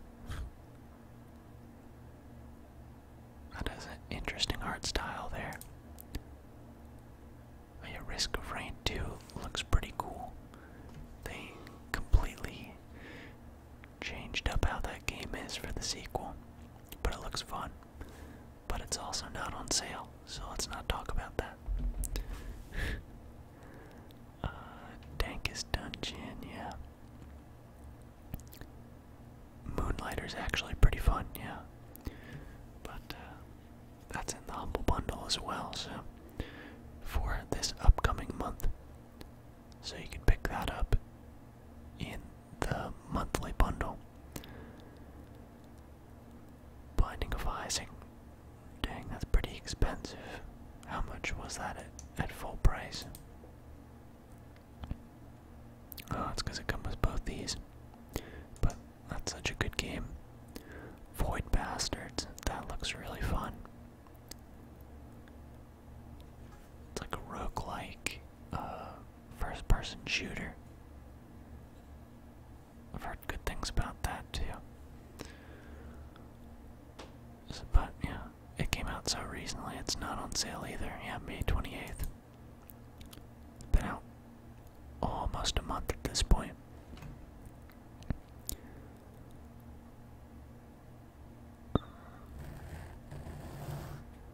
A: That is an interesting art style there. The Risk of Rain 2 looks pretty cool. They completely changed up how that game is for the sequel, but it looks fun. But it's also not on sale, so let's not talk about that. Uh, Dankest Dungeon, yeah. is actually pretty fun, yeah. But uh, that's in the Humble Bundle as well, so for this upcoming month. So you can pick that up in the monthly bundle. Binding of Isaac. Dang, that's pretty expensive. How much was that at, at full price? Oh, it's because it comes with both these. But that's such a good game. Void Bastards. That looks really fun. It's like a roguelike uh, first person shooter. I've heard good things about that too. but yeah, it came out so recently, it's not on sale either. Yeah, May 28th. Been out almost a month at this point. Oh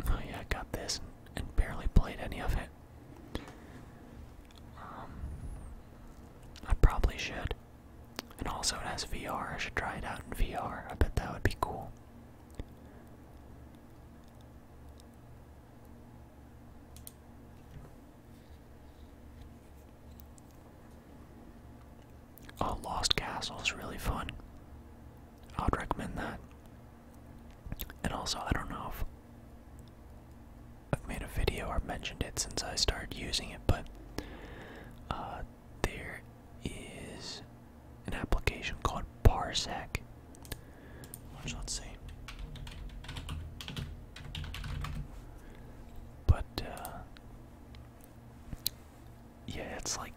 A: yeah, I got this and barely played any of it. Um, I probably should. And also, it has VR. I should try it out in VR. I bet that would be cool. Oh, Lost Castle is really fun. I would recommend that. And also, I don't know if I've made a video or mentioned it since I started using it, but uh, there is an application called Parsec. Which let's see. But uh, yeah, it's like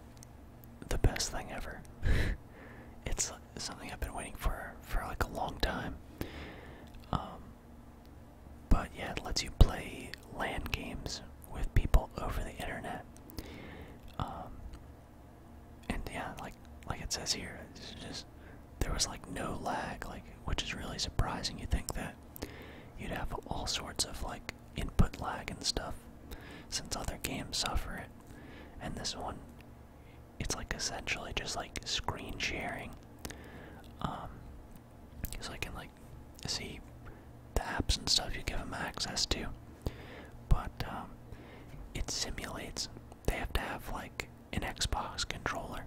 A: the best thing ever. it's uh, something I've been waiting for for like a long time. Um, but yeah, it lets you play land games with people over the internet. Um, and yeah, like like it says here, just there was like no lag, like which is really surprising. You would think that you'd have all sorts of like input lag and stuff, since other games suffer it, and this one, it's like essentially just like screen sharing um, so I can like see the apps and stuff you give them access to. But um, it simulates. They have to have like an Xbox controller,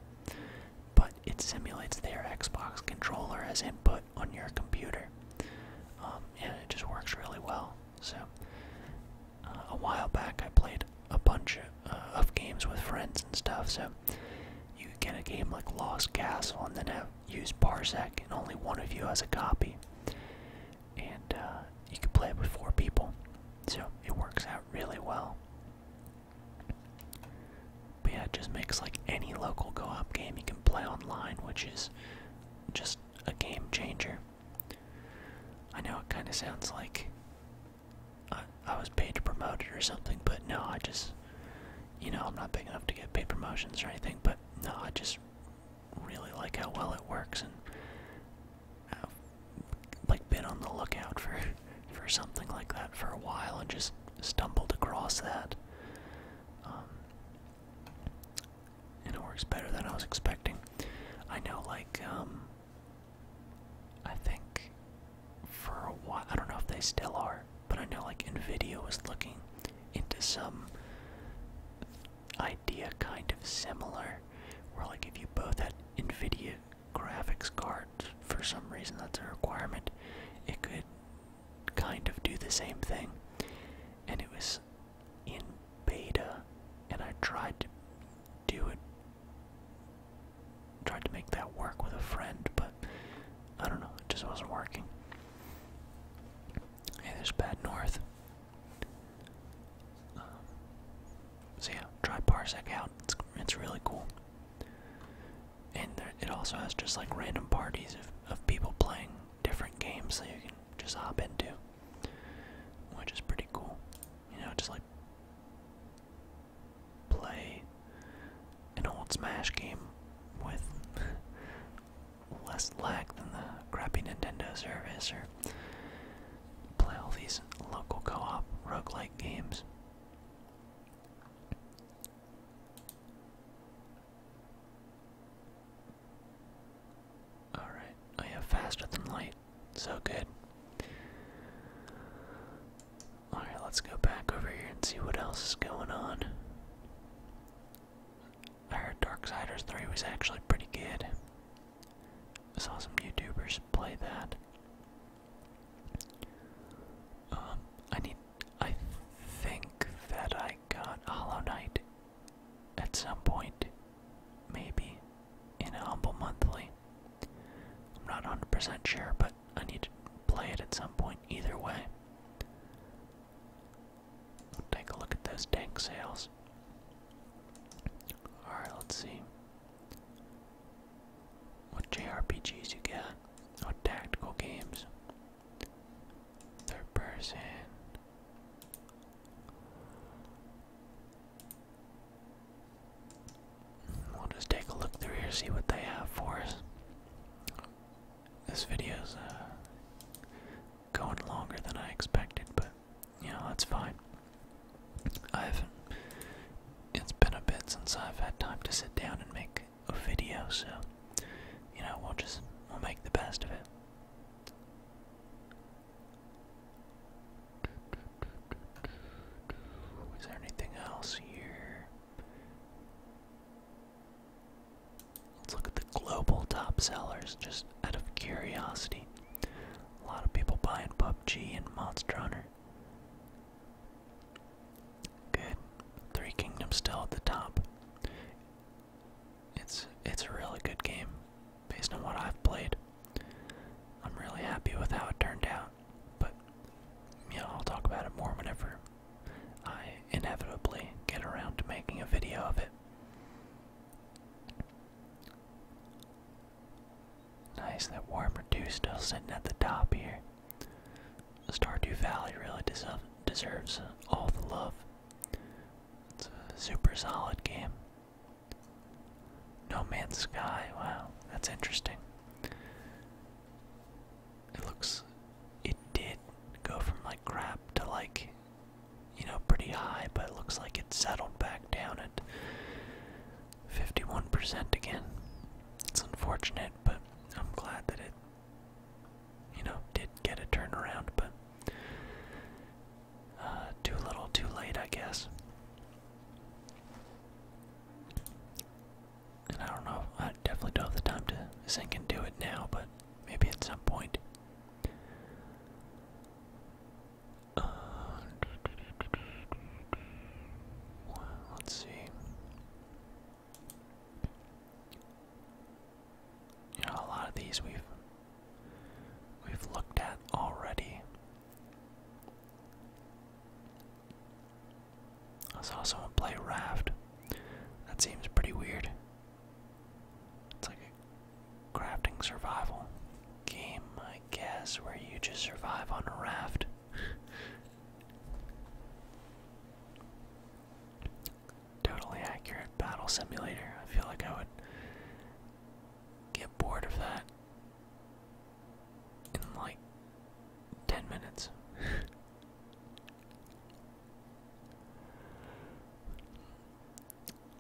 A: but it simulates their Xbox controller as input on your computer, um, and it just works really well. So uh, a while back, I played a bunch of. Uh, of games with friends and stuff. So you get a game like Lost Castle and then have use Parsec, and only one of you has a copy. And uh, you can play it with four people, so it works out really well. But yeah, it just makes like any local co-op game you can play online, which is just a game changer. I know it kind of sounds like I, I was paid to promote it or something, but no, I just, you know, I'm not big enough to get paid promotions or anything, but no, I just really like how well it works and I've, like, been on the lookout for, for something like that for a while and just stumbled across that. Um, and it works better than I was expecting. I know, like, um, I think for a while, I don't know if they still are, but I know like Nvidia was looking into some idea kind of similar, where like if you both had Nvidia graphics cards for some reason that's a requirement, it could kind of do the same thing. And it was in beta, and I tried to do it tried to make that work with a friend, but I don't know, it just wasn't working. Hey, there's Bad North. Um, so yeah, try Parsec out. It's it's really cool, and it also has just like random parties of of people playing different games that you can just hop into, which is pretty cool. You know, just like play an old Smash game with less lag than the crappy Nintendo service or play all these local co-op roguelike games. Alright, I oh have faster than light. So good. Alright, let's go back over here and see what else is going on. I heard Darksiders 3 was actually pretty good. I saw some YouTubers play that. Um, I need. I think that I got Hollow Knight at some point. Maybe. In a Humble Monthly. I'm not 100% sure, but. I need to play it at some point either way. take a look at those tank sales. Alright, let's see. What JRPGs you get? What tactical games? Third person. We'll just take a look through here, see what they have for us. This video's uh, going longer than I expected, but you know that's fine. I've it's been a bit since I've had time to sit down and make a video, so you know we'll just we'll make the best of it. Is there anything else here? Let's look at the global top sellers just out of curiosity. A lot of people buying PUBG and Monster Hunter. Good. Three Kingdoms still at the top. It's it's a really good game based on what I've played. I'm really happy with how it turned out. But yeah, I'll talk about it more whenever I inevitably get around to making a video of it. Nice, that warm dew still sitting at the top here. Stardew Valley really deserves all the love. It's a super solid game. No Man's Sky, wow, that's interesting. It looks. It did go from like crap to like, you know, pretty high, but looks like it settled back down at 51% again. It's unfortunate, but I'm glad that it, you know, did get a turnaround, but uh, too little, too late, I guess. And I don't know, I definitely don't have the time to sink and do it now, but maybe at some point. Uh, let's see. You know, a lot of these we've we've looked at already. I saw someone play Raft. That seems pretty weird. It's like a crafting survival game, I guess, where you just survive on a raft. totally accurate battle simulator. I feel like I would get bored of that in like 10 minutes.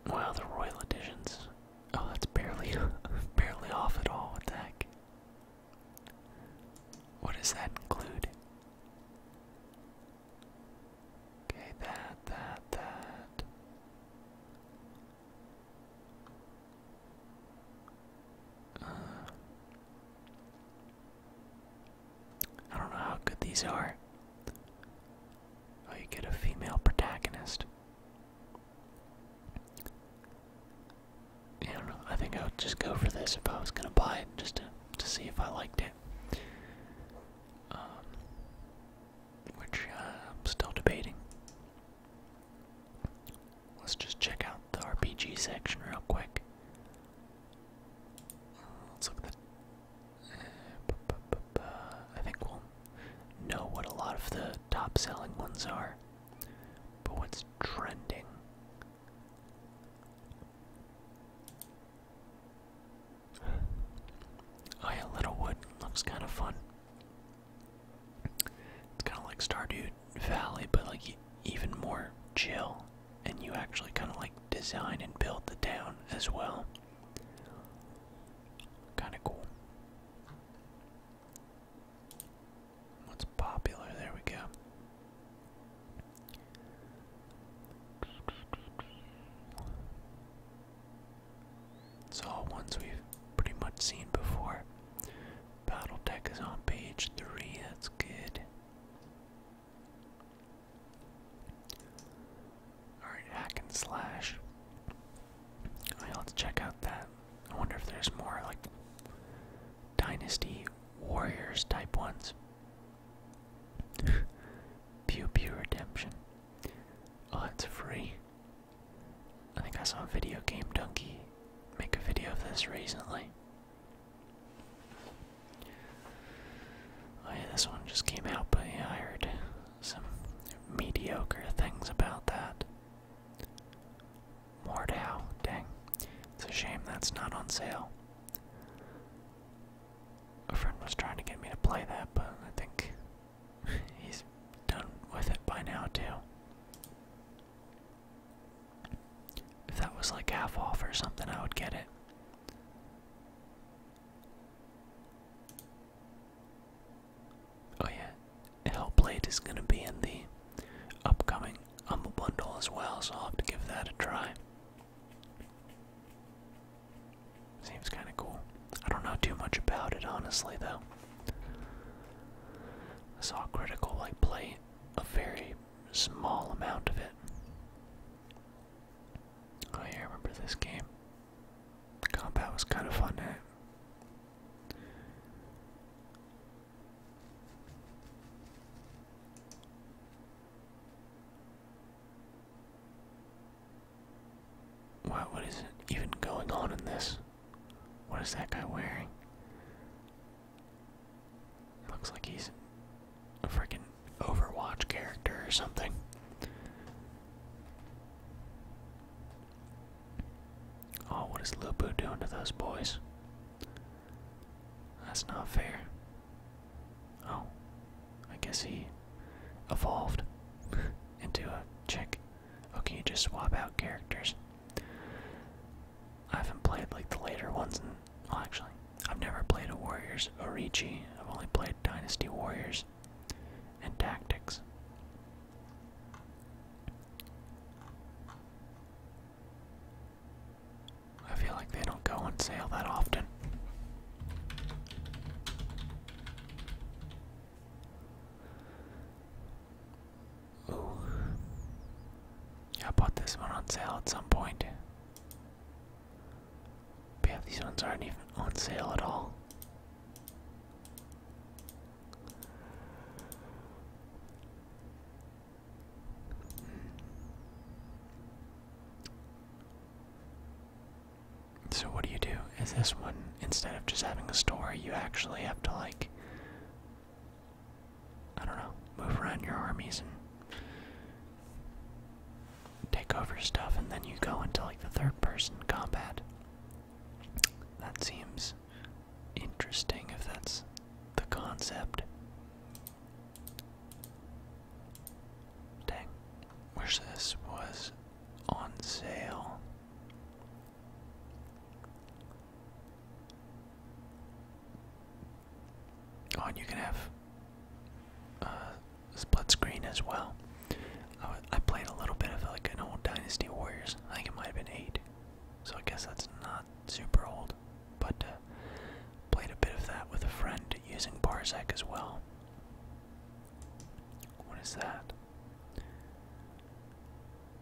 A: wow, the Royal Editions. Oh, that's barely, barely off at all. What the heck? What does that include? Okay, that, that, that. Uh, I don't know how good these are. Oh, you get a female protagonist. I don't know. I think I would just go for this if I was gonna buy it, just to to see if I liked it. Um, which uh, I'm still debating. Let's just check out the RPG section real quick. Let's look at I think we'll know what a lot of the top selling ones are. But what's trending? Oh yeah, Littlewood looks kind of fun. It's kind of like Stardew Valley, but like even more chill, and you actually kind of like design and build the town as well. Kind of cool. What's popular? There we go. It's all ones we've pretty much seen before. Battle deck is on page three, that's good. Alright, hack and slash. let's check out that. I wonder if there's more like Dynasty Warriors type ones. Pew Pew Redemption. Oh, it's free. I think I saw a video game donkey make a video of this recently. Oh, this one just came out, but I heard some mediocre things about that. Mordow, dang. It's a shame that's not on sale. A friend was trying to get me to play that, but I think he's done with it by now, too. If that was like half off or something, I would get it. Oh yeah, Hellblade is gonna be in the upcoming Humble Bundle as well, so i have to give that a try. Seems kinda cool. I don't know too much about it honestly though. I saw critical like play a very small amount of it. Oh yeah, remember this game. Combat was kind of fun at it. what is it even going on in this? What is that guy wearing? Looks like he's a freaking Overwatch character or something. Oh, what is Lupu doing to those boys? That's not fair. Oh, I guess he evolved into a chick. Okay, oh, you just swap out characters. I haven't played like the later ones, and well, actually, I've never played a Warriors Orichi. I've only played Dynasty Warriors and Tactics. I feel like they don't go on sale that often. Ooh. I bought this one on sale at some point. these ones aren't even on sale at all. So, what do you do? Is this one, instead of just having a story, you actually have to like I don't know, move around your armies and take over stuff, and then you go into like the third person combat. That seems interesting if that's the concept. Dang. Wish this was on sale. Oh, you can have uh, split screen as well. Oh, I, played a little bit of like an old Dynasty Warriors. I think it might have been eight, so I guess that's not super old. But uh, played a bit of that with a friend using Barzak as well. What is that?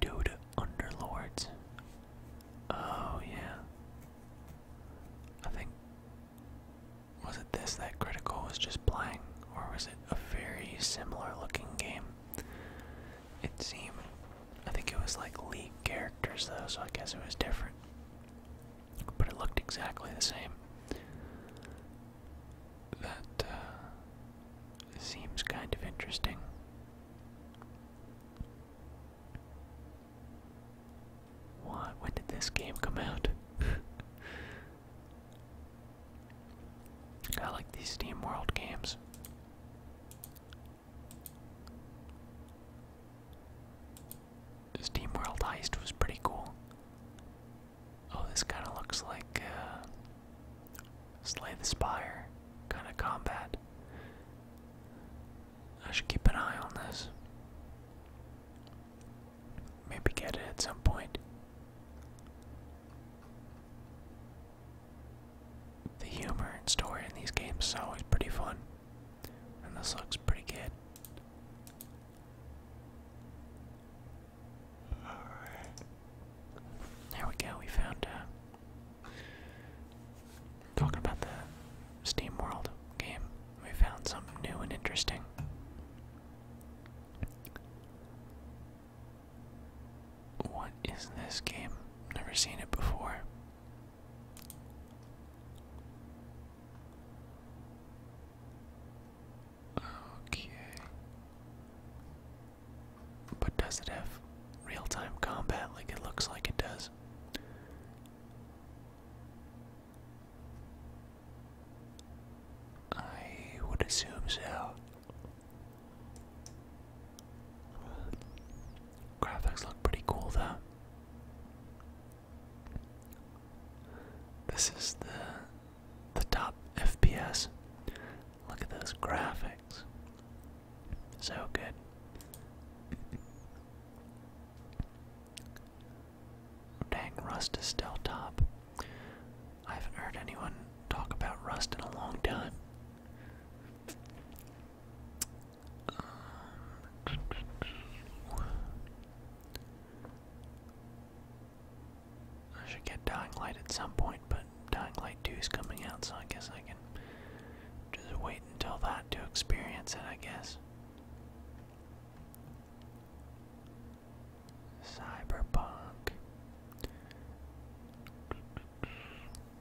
A: Dude, Underlords. Oh yeah. I think was it this that Critical was just playing, or was it a very similar looking game? It seemed I think it was like League characters though, so I guess it was different. But it looked exactly the same. That uh, seems kind of interesting. What? When did this game come out? I like these Steam World games. Steam World Heist was pretty cool. Oh, this kind of looks like uh, Slay the Spire kind of combat. I should keep an eye on this. Maybe get it at some point. The humor and story in these games is always pretty fun, and this looks pretty good. Alright. There we go, we found uh, Talking about the Steam World game, we found something new and interesting. What is this game? Never seen it before. Okay. But does it have real time combat like it looks like it does? I would assume so. Graphics look pretty cool though. This is the the top FPS. Look at those graphics. So good. Dang, Rust is still top. I haven't heard anyone talk about Rust in a long time. I should get Dying Light at some point, but Dying Light 2 is coming out, so I guess I can just wait until that to experience it, I guess. Cyberpunk.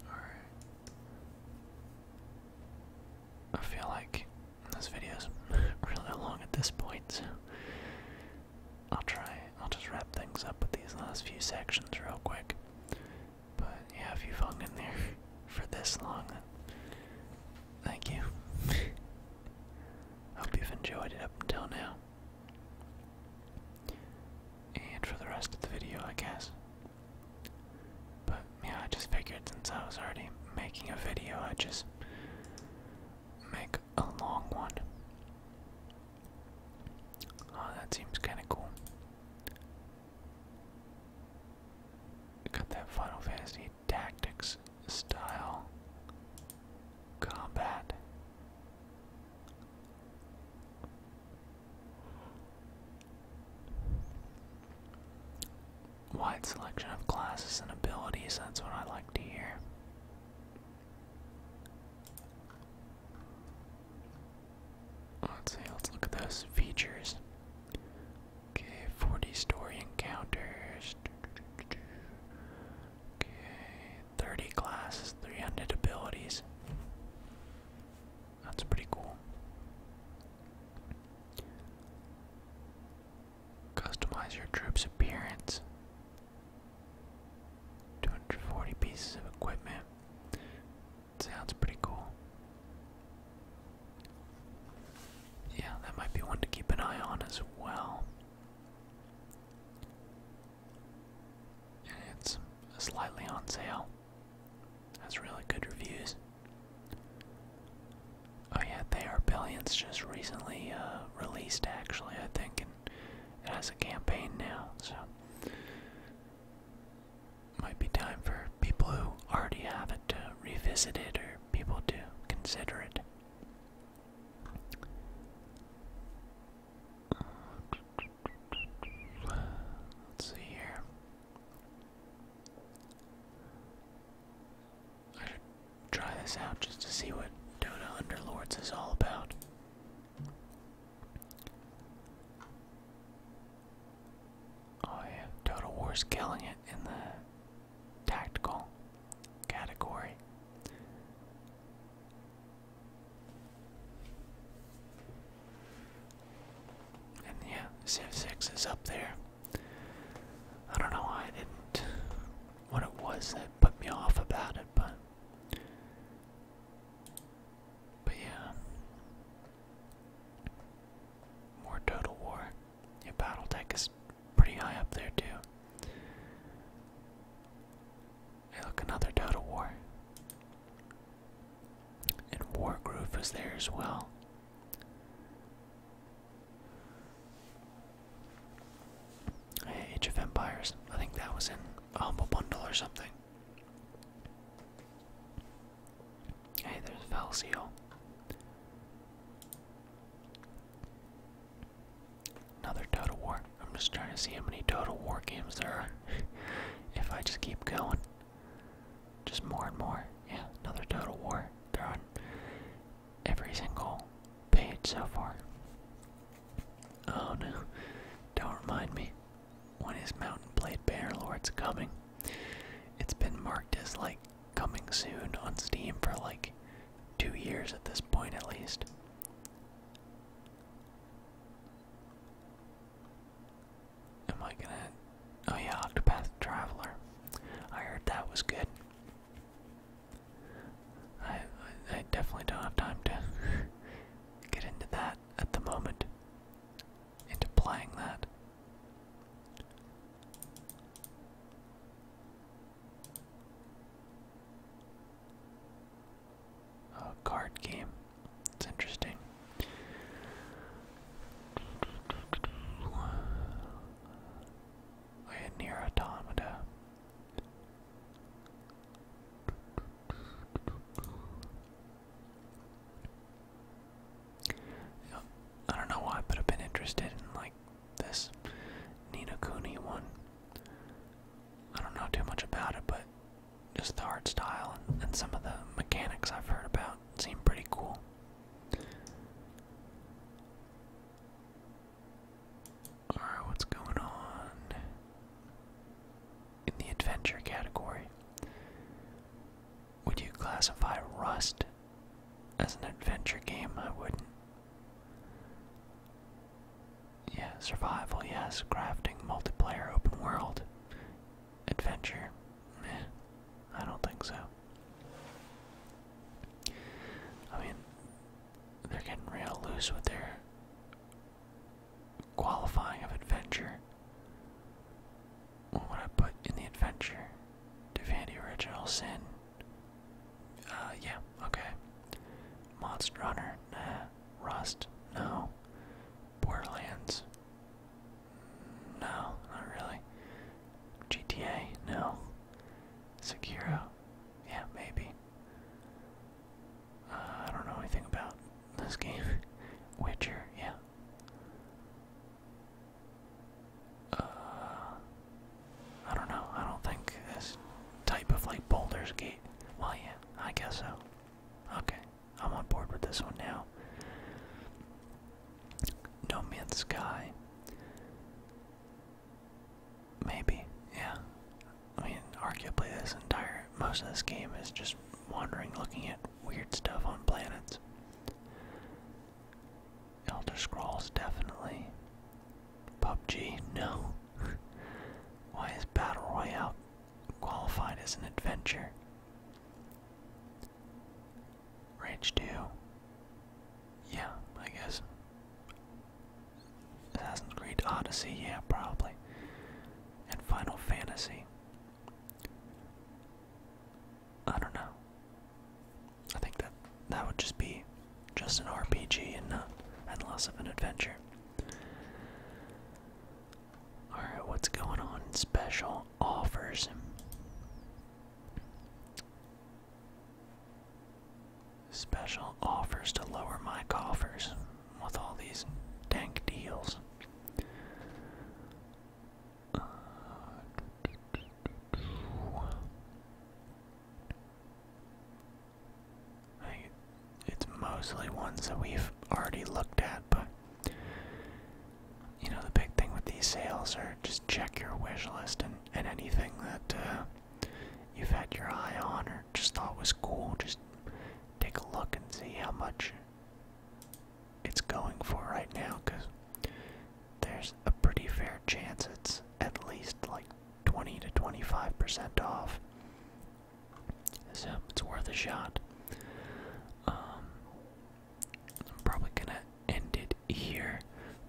A: Alright. I feel like this video's really long at this point, I'll try. I'll just wrap things up with these last few sections real quick. But yeah, if you've hung in there for this long, then thank you. Hope you've enjoyed it up until now. And for the rest of the video, I guess. But yeah, I just figured since I was already making a video, i just make a long one. Oh, that seems kind of cool. Got that Final Fantasy Tactics style combat. Wide selection of classes and abilities, that's what I like to hear. Let's see, let's look at those features. Okay, 40 story encounters. Okay, 30 classes, 300 abilities. That's pretty cool. Customize your troop's appearance. 240 pieces of equipment. Sounds pretty cool. Yeah, that might be one to keep an eye on as well. It's slightly on sale. Has really good reviews. Oh yeah, they are billions just recently uh, released actually I think and it has a campaign now, so might be time for people who already have it to revisit it or people to consider it. Let's see here. I should try this out just to see what Dota Underlords is all about. Oh yeah, Total War's killing it in the tactical category. And yeah, cf 6 is up there. I don't know why I didn't, what it was that put me off about it, but but yeah. More Total War. Yeah, Battletech is pretty high up there too. Hey look, another Total War. And Wargroove was there as well. Age of Empires. I think that was in a Humble Bundle or something. Hey, there's Velseal. Another Total War. I'm just trying to see how many Total War games there are. if I just keep going. Just more and more. Yeah, another Total War. They're on every single page so far. Oh no. Don't remind me. When is Mountain Blade Banner Lords coming? It's been marked as like coming soon on Steam for like two years at this point at least. Am I gonna Oh yeah, Octopath Traveler. I heard that was good. I I definitely don't have time to get into that at the moment into playing that. A card game. It's interesting. I oh, had near automata. I don't know why, but I've been interested in like this Nina Cooney one. I don't know too much about it, but just the art style and, and some of the mechanics I've heard about seem pretty cool. Alright, what's going on in the adventure category? Would you classify Rust as an adventure game? I wouldn't. Yeah, survival, yes. Crafting, multiplayer, open world. Adventure, I don't think so. I mean, they're getting real loose with their qualifying of adventure. What would I put in the adventure? Divinity Original Sin. Uh, yeah, okay. Monster Hunter, nah. Rust, no. Borderlands, no, not really. GTA, no. Sekiro, yeah, maybe. Uh, I don't know anything about this game. Witcher, yeah, uh, I don't know. I don't think this type of like Boulder's Gate. Well, yeah, I guess so. Okay, I'm on board with this one now. No Man's Sky. Maybe, yeah. I mean, arguably, this entire most of this game is just wandering, looking at weird stuff on planets. Elder Scrolls, definitely. PUBG, no. Why is Battle Royale qualified as an adventure? Rage 2. Yeah, I guess. Assassin's Creed Odyssey, yeah, probably. And Final Fantasy. I don't know. I think that that would just be just an RPG and not and less of an adventure. Alright, what's going on? Special offers. Special offers to lower my coffers with all these dank deals. Uh, I, it's mostly ones that we've already looked at, but you know, the big thing with these sales are just check your wish list and, and anything that uh, you've had your eye on or just thought was cool, just take a look and see how much it's going for right now because there's a pretty fair chance it's at least like 20 to 25% off. So it's worth a shot. Um, I'm probably gonna end it here,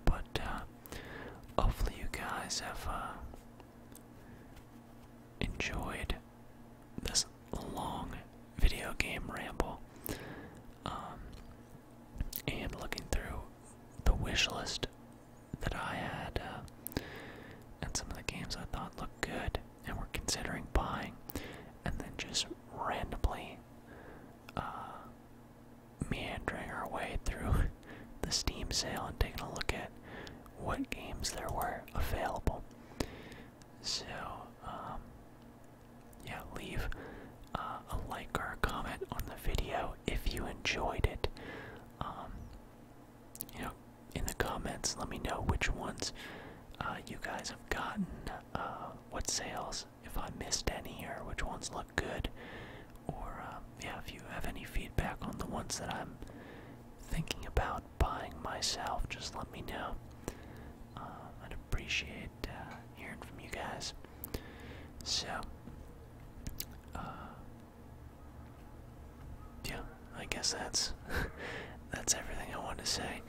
A: but uh, hopefully you guys have uh, enjoyed this long video game ramble um, and looking through the wish list that I had uh, and some of the games I thought looked good and were considering buying, and then just randomly uh, meandering our way through the Steam sale and taking a look at what games there were available. So, um, yeah, leave uh, a like or a comment on the video if you enjoyed it. Um, you know, in the comments, let me know which ones uh, you guys have gotten, uh, what sales, if I missed any, or which ones look good, or um, yeah, if you have any feedback on the ones that I'm thinking about buying myself, just let me know. Uh, I'd appreciate uh, hearing from you guys. So, uh, yeah, I guess that's that's everything I wanted to say.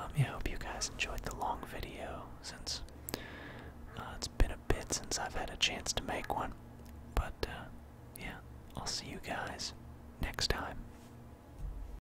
A: Um, yeah, I hope you guys enjoyed the long video since it's been a bit since I've had a chance to make one. But yeah, I'll see you guys next time.